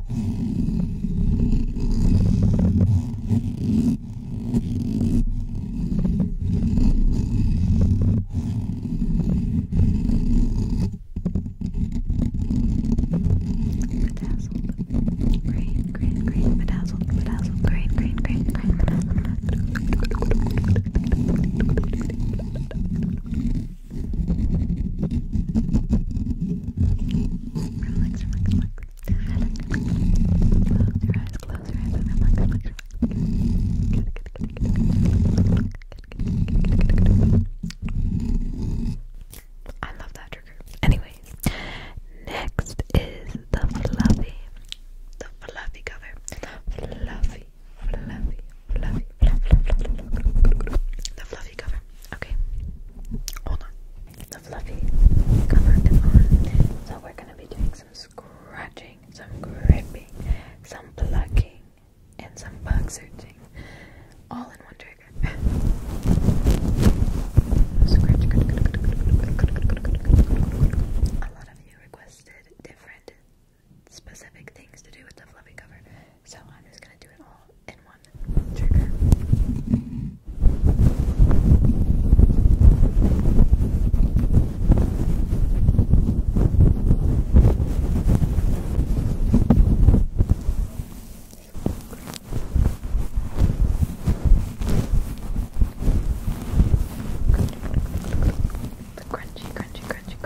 A: Bedazzled, green, green, green, bedazzled, bedazzled, green, green, green, green, bedazzled. Relax, relax, relax. Close your eyes, close your eyes, relax, relax, relax. I love that trigger. Anyways, next is the fluffy, the fluffy cover. Fluffy, fluffy, the fluffy cover. Okay, hold on. The fluffy cover is on, so we're gonna be doing some scratching, some gripping, some plucking, and some bug searching, all in one trigger. Scratch. A lot of you requested different specific things to do with the fluffy cover. So I'm just going to do it all in one trigger. The crunchy, crunchy, crunchy,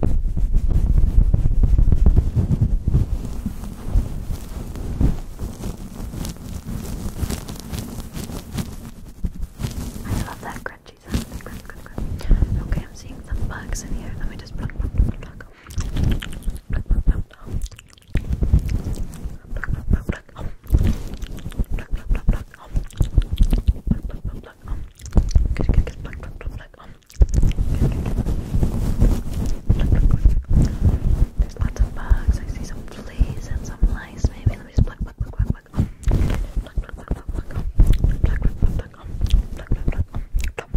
A: I love that crunchy sound. Crunch, crunch, crunch. Okay, I'm seeing some bugs in here. Let me just pluck, pluck, pluck, pluck. Pluck, pluck, pluck. Pluck, pluck, pluck, pluck. Pluck, pluck, pluck, pluck. Pluck, pluck, pluck, pluck. Good, good, good. Pluck, pluck, pluck, pluck. There's lots of bugs. I see some fleas and some lice. Maybe let me just pluck, pluck, pluck, pluck, pluck. Pluck, pluck, pluck, pluck, pluck. Pluck, pluck, pluck, pluck. Pluck, pluck, pluck.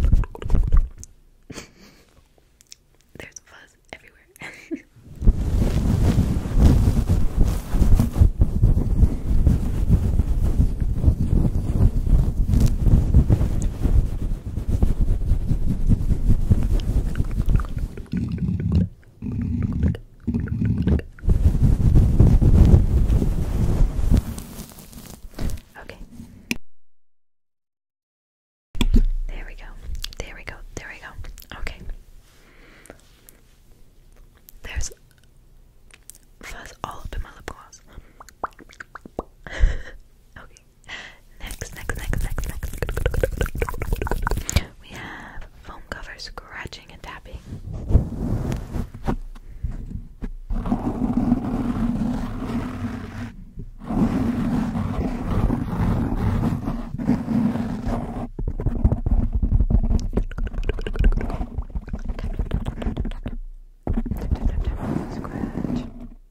A: There's fuzz everywhere. Okay. There we go. There we go. There we go. Okay. There's fuzz all up in my lip gloss. okay. Next, next, next, next, next. We have foam cover scratching and tapping. Scratch.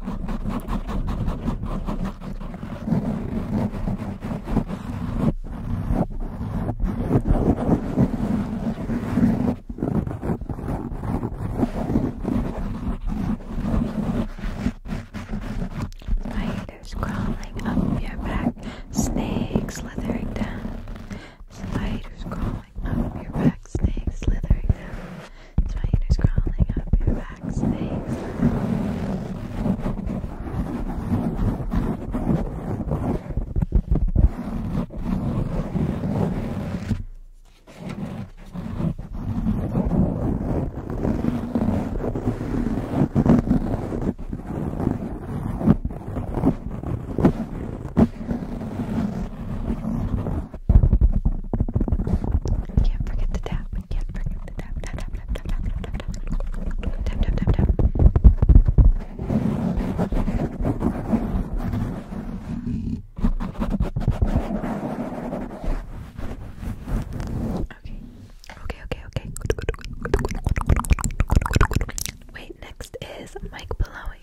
A: Spiders crawling up your back, snakes slithering down, Spiders crawling up your back, snakes slithering down. Spiders crawling up your back, snakes. Can't forget to tap. Can't forget to tap. Tap tap tap tap tap tap tap tap tap tap tap tap. Okay. Okay. Okay. Okay. Wait. Next is mic blowing.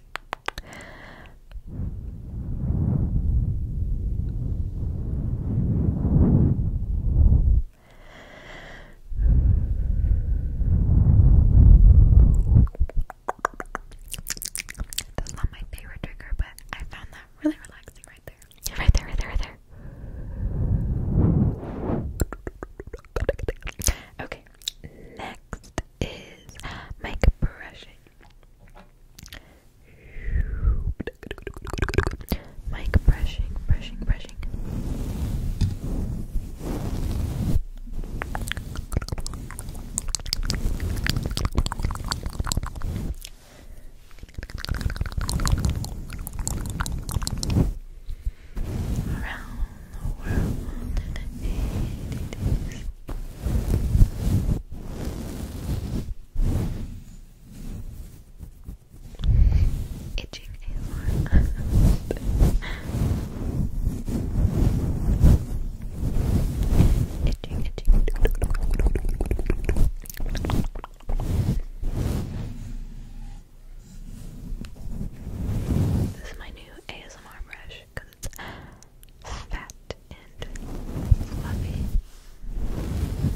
A: That's not my favorite trigger, but I found that really relaxing right there. Right there, right there, there. Okay, next is mic brushing. Mic brushing, brushing, brushing. Around the world in eighty days. Itching ASMR. itching, itching. This is my new ASMR brush because it's fat and fluffy.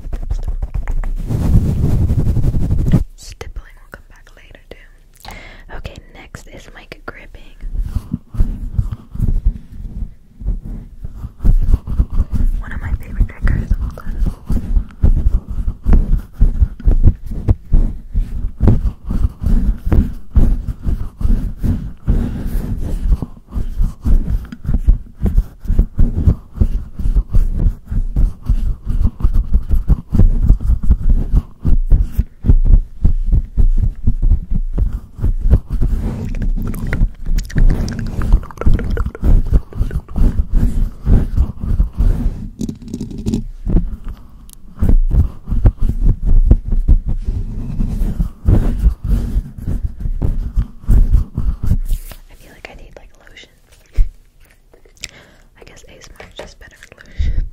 A: Stippling will come back later too. Okay, next is mic gripping. One of my favorite triggers of all time. I feel like I need like lotion. I guess ASMR is just better illusion.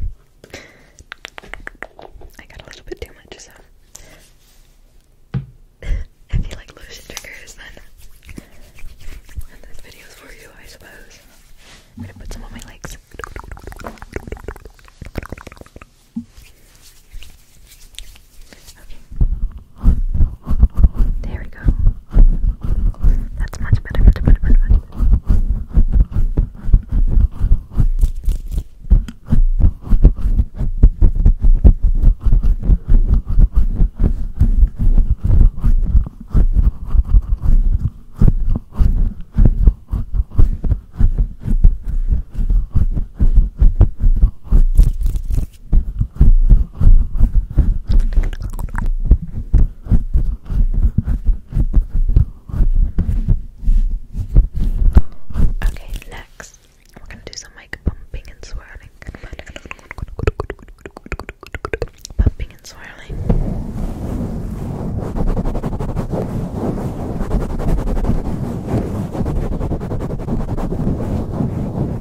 A: I got a little bit too much, so if you like lotion triggers, then this video is for you, I suppose. I'm gonna put some on my legs. Okay. There we go. That's much better. Much better, much better. Okay, next we're gonna do some like bumping and swirling. Bumping and swirling. Okay,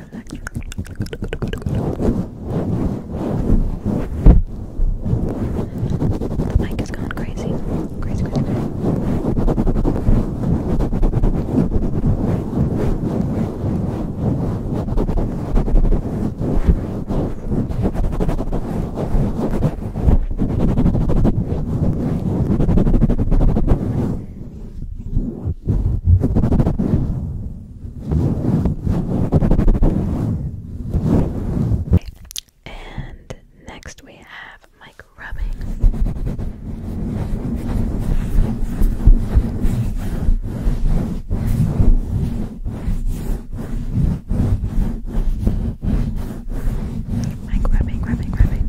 A: relax. The mic is going crazy. Crazy, crazy, crazy. And next we have Mike rubbing. Mic rubbing, rubbing, rubbing.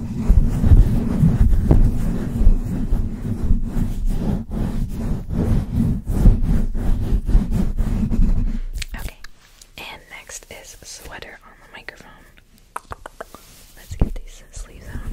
A: Okay, and next is sweater on the microphone. Let's get these sleeves on.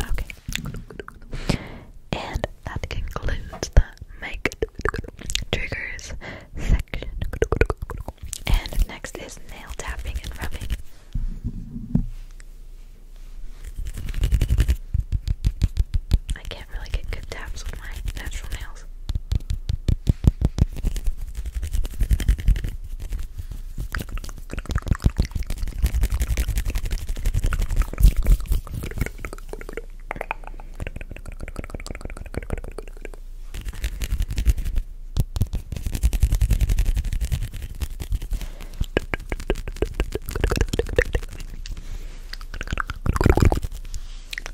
A: Okay. And that concludes the make triggers section. And next is nail tapping and rubbing. I can't really get good taps with my natural nails.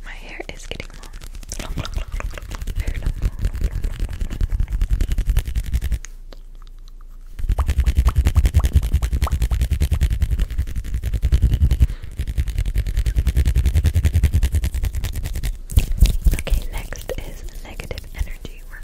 A: My hair is getting long. Okay, next is negative energy. we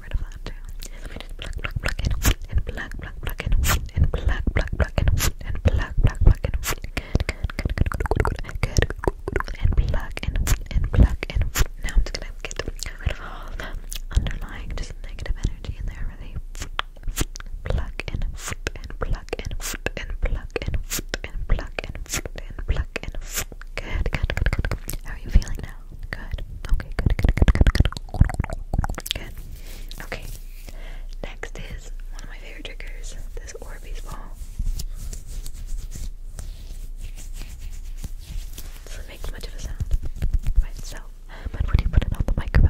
A: Now I'm just gonna get rid of all underlying just negative energy in there. Really pluck in, and pluck in, and pluck in, and pluck in, and pluck in. Good, good, good, good. How are you feeling now? Good. Okay, good, good, good, good, good. Okay. Next is one of my favorite triggers, this Orbeez ball. doesn't make much of a sound by itself, but when you put it on the microphone.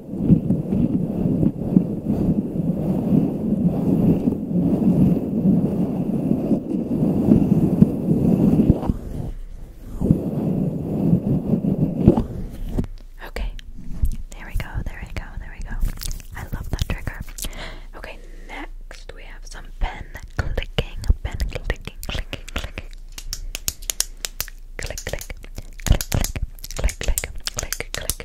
A: Okay, there we go, there we go, there we go. I love that trigger. Okay, next we have some pen clicking, pen clicking, clicking, Click, click, click, click, click, click, click, click,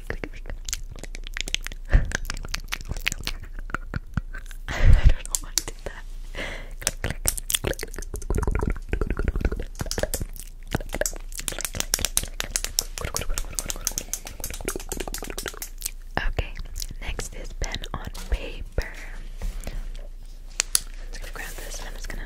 A: I do Okay, next is pen on paper. I'm just grab this I'm just gonna.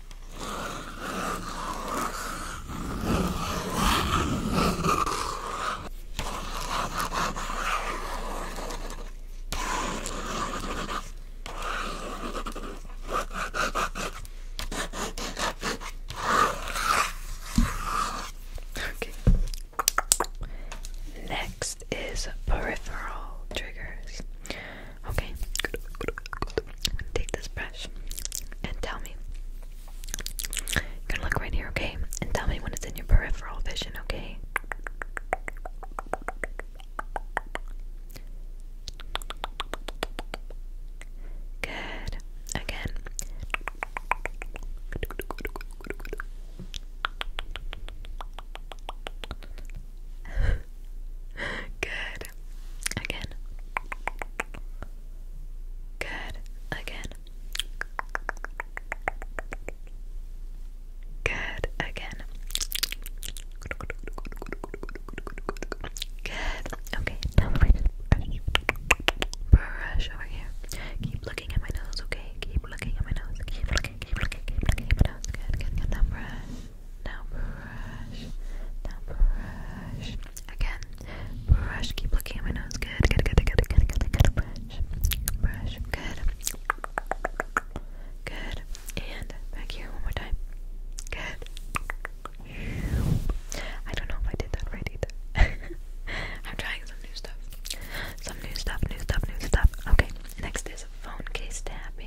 A: Okay. Next is peripheral triggers. Okay, take this brush and tell me. gonna look right here, okay? And tell me when it's in your peripheral vision, okay? Good. Again. Good. Again. Good. Again. Good. Again. Good. Okay, now we brush. over here. Keep looking at my nose, okay? Keep looking at my nose. Keep looking, keep looking, keep looking my nose. Good, good, good. Now brush. Now brush. Again. Brush. Keep looking at my nose. Good. Good. Good. Good. Good. Good. Good. Brush. Brush. Good. Good. And back here one more time. Good. I don't know if I did that right either. I'm trying some new stuff. Some new stuff, new stuff, new stuff. Okay, next is phone case tapping.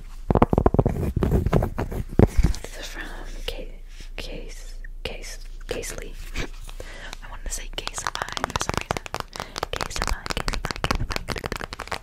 A: from Case Case Case Casely. I wanted to say Case Five for some reason. Case Five, Case Five, Case Five.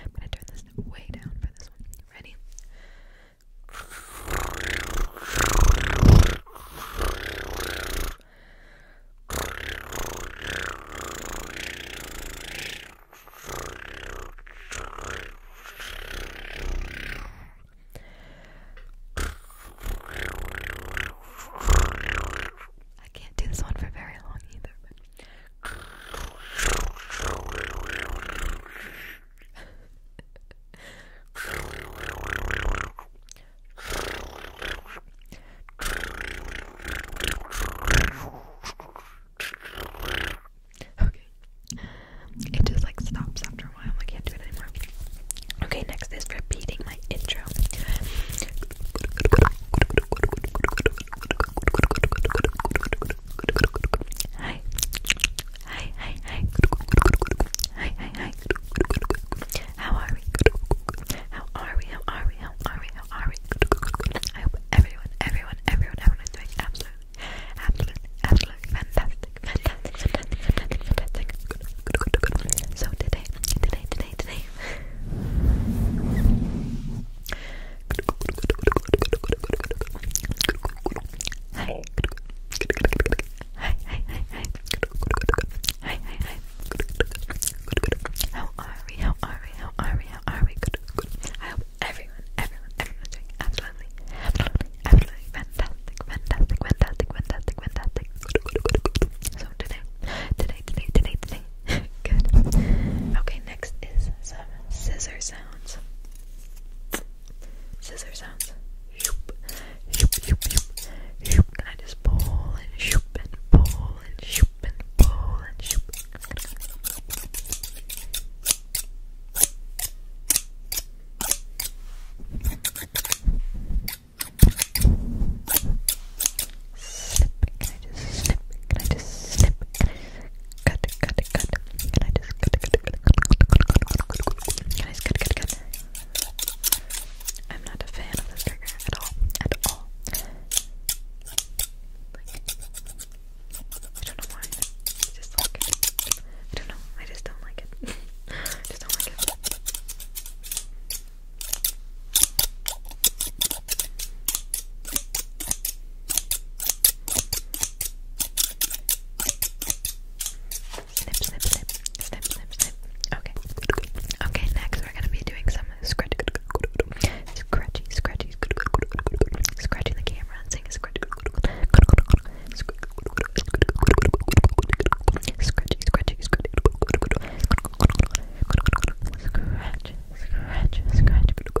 A: I'm gonna turn this way down for this one. Ready? I can't do this one for very long either, okay. It just like stops after a while. I can't do it anymore. Okay, next is repeating my intro. Hi. Hi, hi, hi. Hi, hi, hi. How are we? How are we? How are we? How are we? How are we? I hope everyone, everyone, everyone, everyone is doing absolutely, absolutely, absolutely fantastic, fantastic, fantastic, fantastic, fantastic. So today, today, today, today. Hi. Hi, hi, hi, hi. Hi, How are we? How are we? How are we? How are we? Good, good. everyone, everyone, absolutely, absolutely, absolutely fantastic, fantastic, fantastic, fantastic, fantastic. So today, today, today, today, Okay, next is some scissor sounds. Scissor sounds. I just pull and shoop and pull and shoop and pull and shoop? Slip. Can I just slip? Can I just slip? Can I just cut, cut, cut? Can I just cut, cut, cut? Can I just cut, cut, cut? I'm not a fan of this trigger at all. At all. I don't know why. I just like it. I don't know. I just don't like it. just don't like it. Snip, snip, snip, snip, snip, snip. Okay. Okay, next we're gonna be doing some scratch scratchy, scratchy, scratching the camera and saying scratch scratchy, scratchy, scratchy. Scratch, scratch, scratch,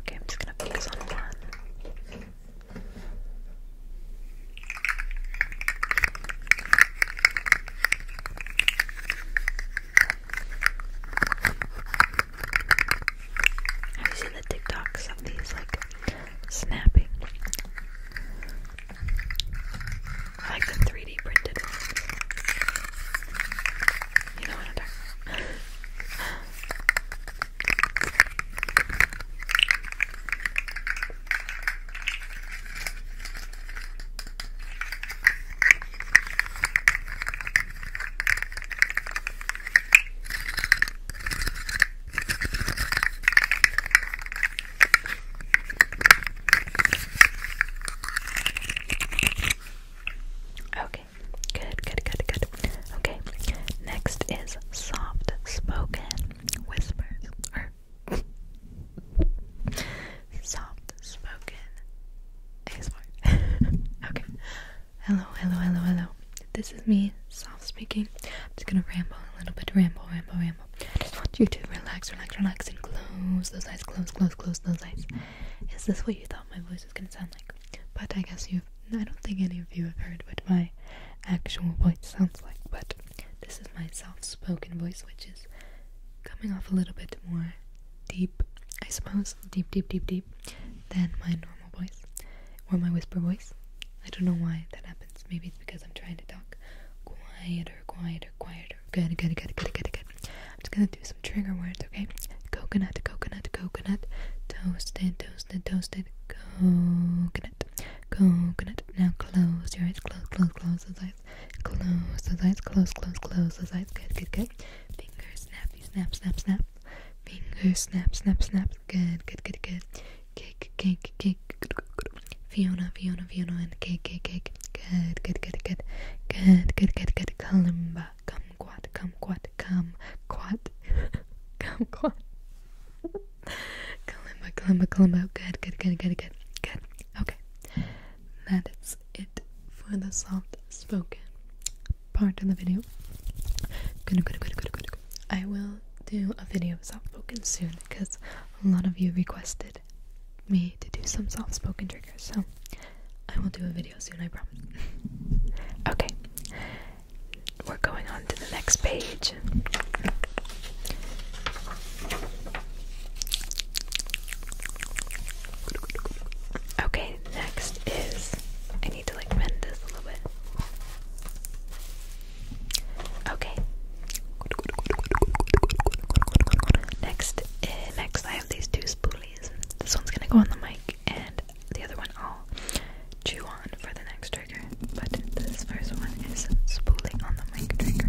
A: Okay, I'm just gonna focus on one. Have you seen the TikToks of these like snapping like the 3D printed ones. You know what I'm Okay, good, good, good, good. Okay, next is soft spoken whispers or
B: soft spoken ASMR. okay, hello, hello, hello, hello. This is me, soft speaking. I'm just gonna ramble a little bit, ramble, ramble, ramble. I just want you to relax, relax, relax, and close those eyes, close, close, close those eyes. Is this what you thought my voice was gonna sound like? But I guess you I don't think any of you have heard what my actual voice sounds like, but this is my self spoken voice, which is coming off a little bit more deep, I suppose, deep, deep, deep, deep, than my normal voice or my whisper voice. I don't know why that happens. Maybe noise because I'm trying to talk quieter, quieter, quieter. Good, good, good, good, good, good. I'm just gonna do some trigger words, okay? Coconut, coconut, coconut. Toasted, toasted, toasted. Coconut, coconut. Now close your eyes, close, close, close those eyes. Close those eyes, close, close, close those eyes. Good, good, good. Finger snappy, snap, snap, snap. Finger snap, snap, snap. Good, good, good, good. Cake, cake, cake. Fiona, Fiona, Fiona, and cake, cake, cake. Good, good, good, good. Good, good, good, good. Kalimba. Kumquat, kumquat, kumquat. Kumquat. Kalimba, kalimba, kalimba. Good, good, good, good, good. Good. Okay. That is it for the soft spoken part of the video. Good, good, good, good, good. I will do a video of soft spoken soon because a lot of you requested me to do some soft spoken triggers. So I will do a video soon, I promise. okay, we're going on to the next page. Okay, next is I need to like bend this a little bit. Okay. Next, eh, next I have these two spoolies. This one's gonna go on the mic, and the other one I'll
A: chew on for the next trigger. But this first one is spooling on the mic trigger.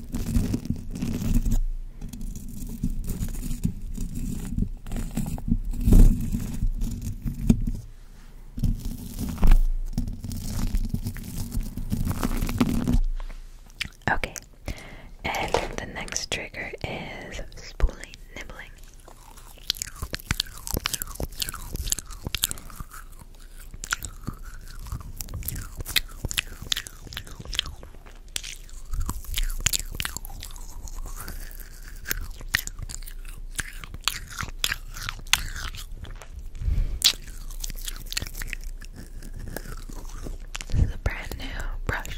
A: Okay, and the next trigger is spooling, nibbling. This is a brand new brush.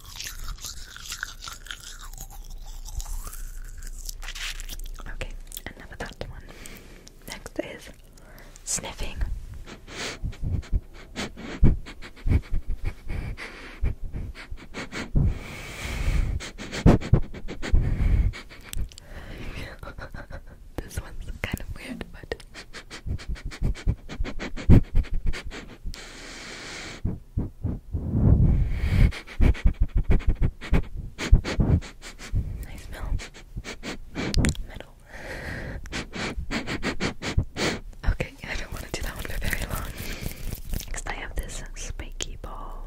A: Okay, enough one. Next is sniffing. this one's kind of weird, but I smell metal. Okay, I don't want to do that one for very long. Next, I have this spiky ball.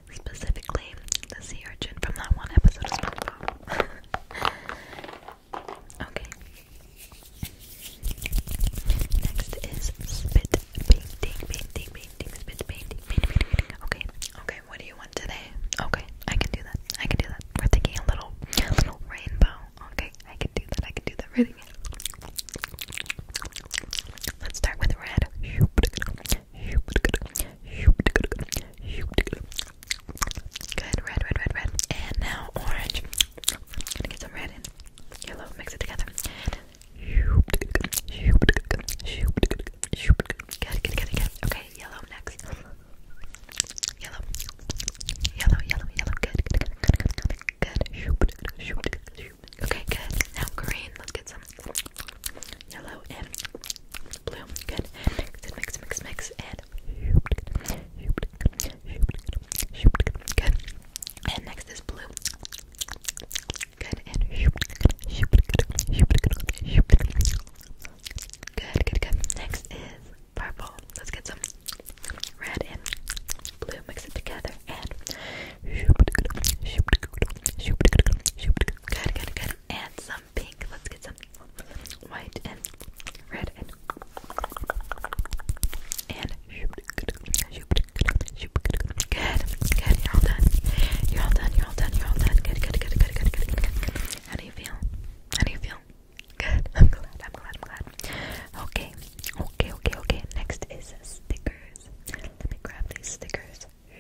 A: specifically the sea urchin from that one episode of SpongeBob. okay. Next is spit painting, painting, painting, spit painting, painting, painting. Okay, okay. What do you want today? Okay, I can do that. I can do that. We're thinking a little, little rainbow. Okay, I can do that. I can do that. Really. Let's start with red. Good, red, red, red, red. And now orange. I'm gonna get some red and yellow, mix it together. Good, good, good, good. Okay, yellow next. Yellow. Yellow, yellow, yellow. Good, good, good, good, good, good. Good. Okay, good. Now green. Let's get some yellow and blue. Good. Mix, mix, mix, mix, and good. And next is blue. Good and good, good, good. Next is purple. Let's get some red and blue. Mix it together and good, good, good. And some pink. Let's get some white and red and and good, good. You're all done. You're all done. You're all done. You're all done. good, good, good, good, good, good. How do you feel? How do you feel? Good. I'm glad. I'm glad. I'm glad. Okay. Okay. Okay. Okay. Next is stickers. Let me grab these stickers. Okay,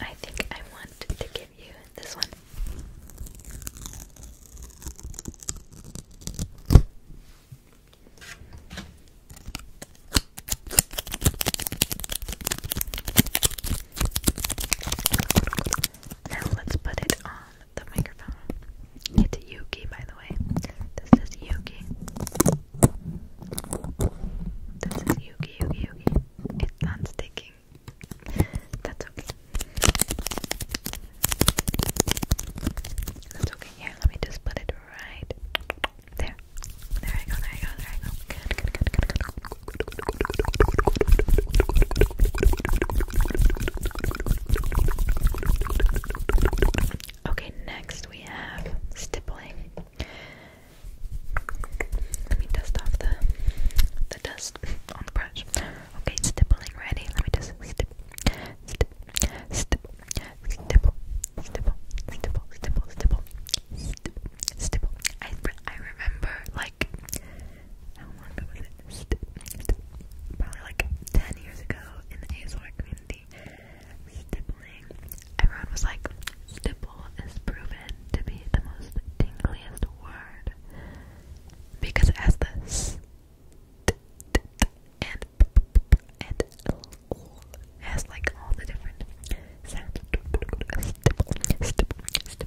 A: I think I want to give you this one. Now let's put it on the microphone. It's Yuki, by the way. This is Yuki. This is Yuki, Yuki, Yuki. It's not sticking. That's okay. That's okay. Here, let me just put it right there. There I go, there I go, there I go. Good, good, good, good, good. Okay, next we have stippling. Let me dust off the the dust on the brush. Okay, stippling ready. Let me just stip, stip, stipple, stipple, stipple, stipple, stipple, stipple, stipple. stipple. I I remember like how long ago was it? Probably like 10 years ago in the ASMR community. Stippling. Everyone was like, stipple is proven to be the most tingliest word because as the s t t t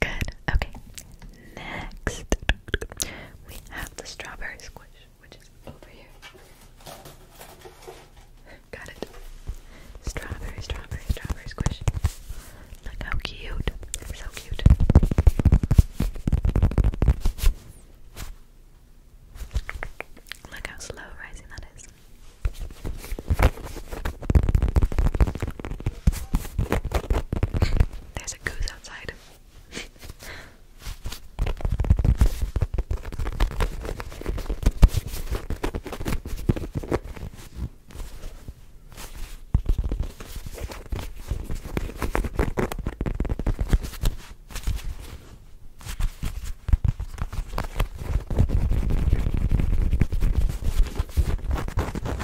A: Good. Okay. Next, we have the strawberry squish, which is over here. Got it. Strawberry, strawberry, strawberry squish. Look how cute. So cute. Look how slow rising that is. There's a goose outside.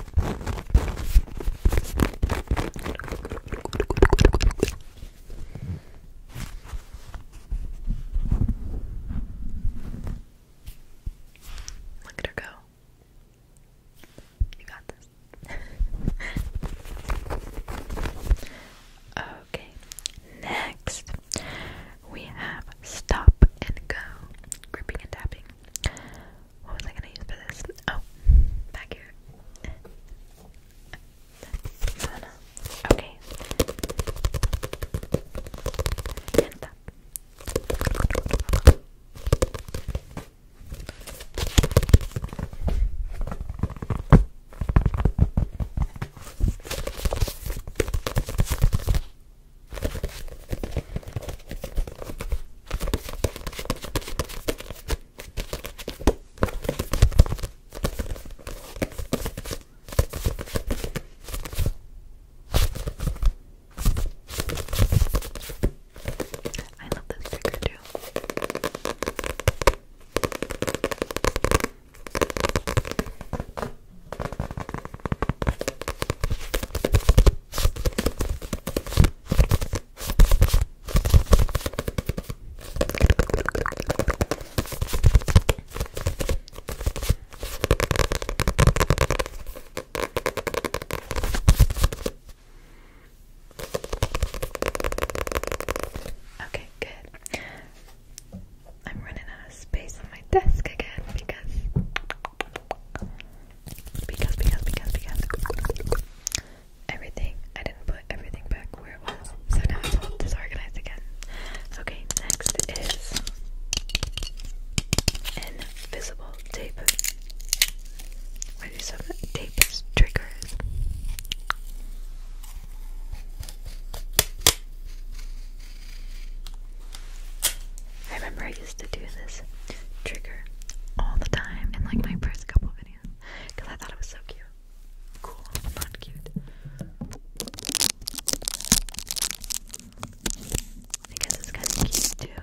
A: Look at her go. You got this. okay, next we have stop and go, gripping and tapping. What was I gonna use for this? Oh, back here. Okay. I love this sticker too. Okay, good. I'm running out of space on my desk again because because, because, because, because everything, I didn't put everything back where it was, so now it's disorganized again. Okay, next is invisible tape. What is some tape triggers? I remember I used to do this trigger all the time in like my first couple videos because I thought it was so cute. Cool, not cute. I guess it's kind of cute too.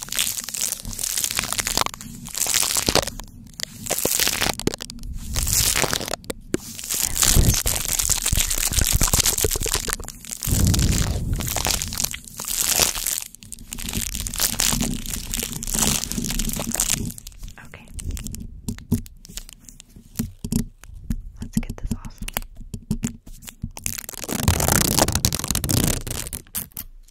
A: Okay. Let's get this off.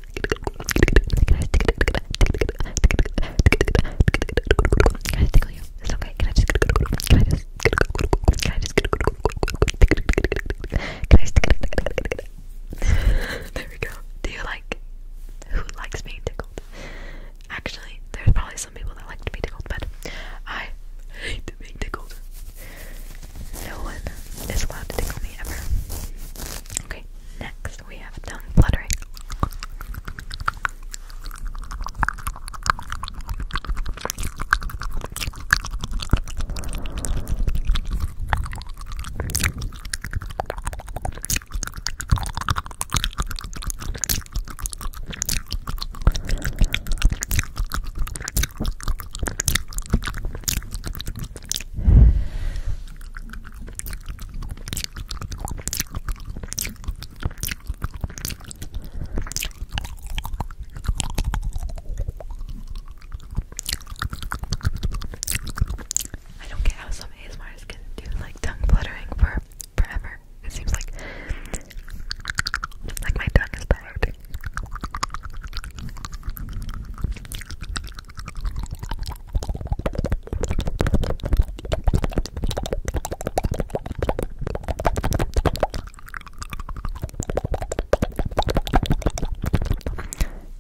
A: There we go. Do you like who likes being tickled? Actually, there's probably some people that like to be tickled, but I hate being tickled. No one is allowed to tickle me ever. Okay, Next, we have tongue fluttering. I don't get how some of ASMRs can do like tongue fluttering for forever. It seems like like my tongue is tired.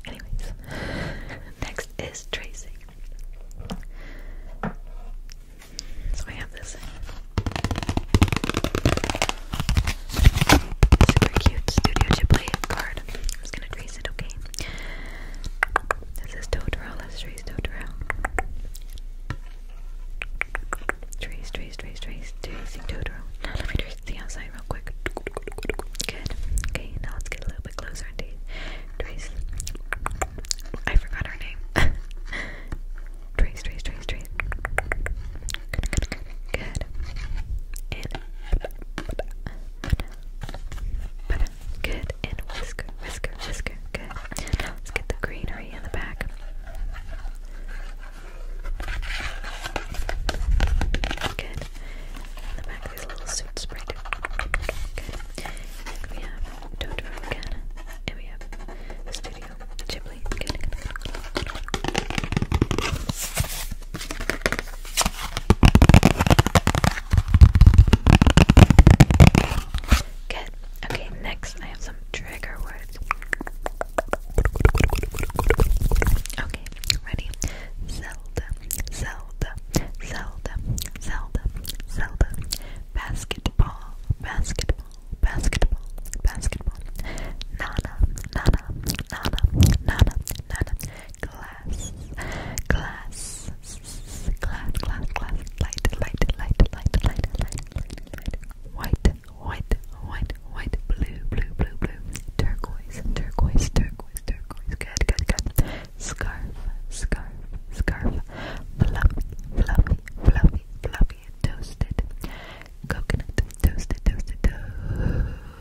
A: Anyways, next is tracing. So I have this super cute Studio Ghibli card. I'm just gonna trace it, okay? This is Totoro. Let's trace Totoro. Trace, trace, trace, trace. Tracing Totoro. Now let me trace the outside real quick. Good. Okay, now let's get a little bit closer indeed. Trace. I forgot her name. trace, trace, trace, trace. Good. And butter, good, and whisker, whisker, whisker, good. Now let's get the greenery in the back. Good. In the back, there's a little suit spray. Good. And we have Totoro again, and we have Studio Ghibli. Good. Good. Okay, next I have some trigger words. Okay, ready? Zelda, Zelda, Zelda, Zelda, Zelda. Basketball, basketball, basketball, basketball. Nana, Nana, Nana, Nana, Nana glass, glass, glass, glass, glass, light, light, light, light, light, light, light, white, white, white, white, blue, blue, blue, blue, turquoise, turquoise, turquoise, turquoise, good, good, good, scarf, scarf, scarf, fluffy, fluffy, fluffy, fluffy, toasted, coconut, toasted, toasted, toasted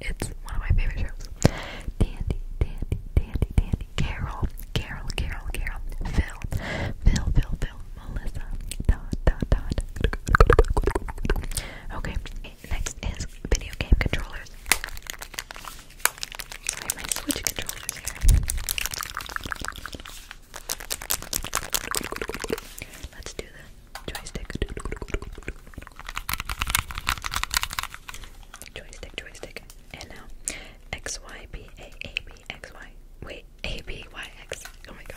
A: It's one of my favorite shows. Dandy, Dandy, Dandy, Dandy, Carol, Carol, Carol, Carol, Phil, Phil, Phil, Phil, Melissa, Dot, Dot, Dot. Okay, next is video game controllers. Sorry, my Switch controllers here. Let's do the joystick. Joystick, joystick. And now X Y B A A B X Y. Wait, A B Y X. Oh my god.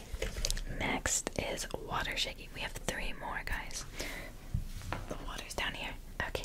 A: Next is water shaking. We have three more, guys. The water's down here. Okay.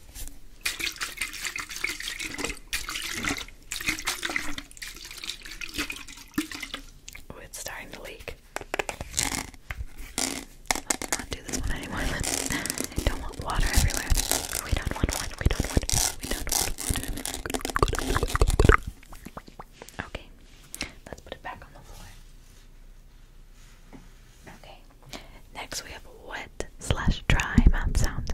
A: Oh, it's starting to leak. do not want water everywhere. We don't want water. We don't want. Okay, let's put it back on the floor. Okay. Next we have wet slash dry mouth sounds.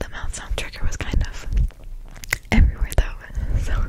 A: The mouth sound trigger was kind of everywhere though, so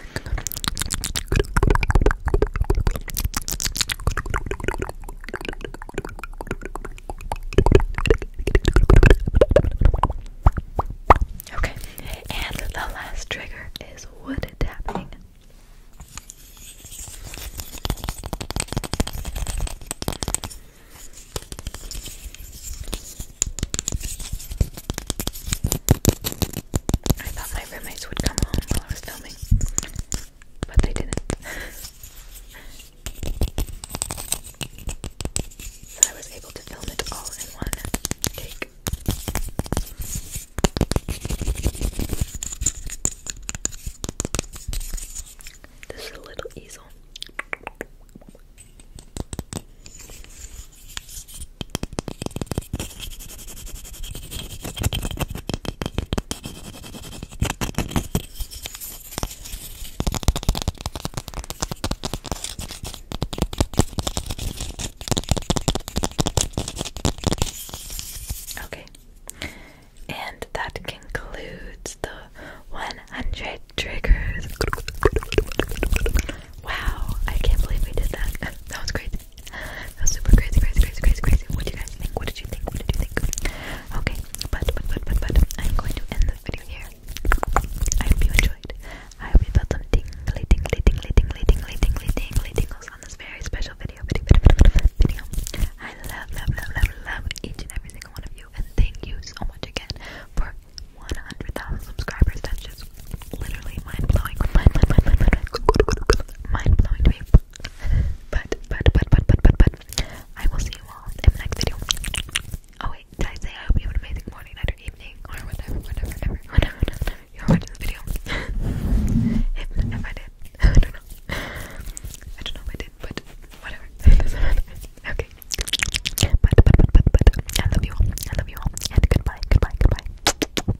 A: Okay, and the last trigger is wood tapping my roommates would come home while I was filming, but they didn't. I was able to film it all in one take. This is a little easel. Okay, and that concludes the 100 triggers. Wow, I can't believe we did that. That was great. That's super crazy, crazy, crazy, crazy, crazy. What do you guys think? What did you think? What did you think? Okay, but, but, but, but, but, I'm going to end this video here. I hope you enjoyed. I hope you felt some tingly, tingly, tingly, tingly, tingly, tingly, tingly tingles on this very special video, I love, love, love, love, love each and every single one of you, and thank you so much again for 100,000 subscribers. That's just literally mind blowing mind blowing to me. But, but, but, but, but, but, but, I will see you all in the next video. Oh, wait, did I say I hope you have an amazing morning, night, or evening, or whatever, whatever, whatever, whatever, whatever you're watching this video? if, if I did, I don't know. I don't know if I did, but whatever. Okay. But, but, but, but, but, I love you all. I love you all. And goodbye, goodbye, goodbye.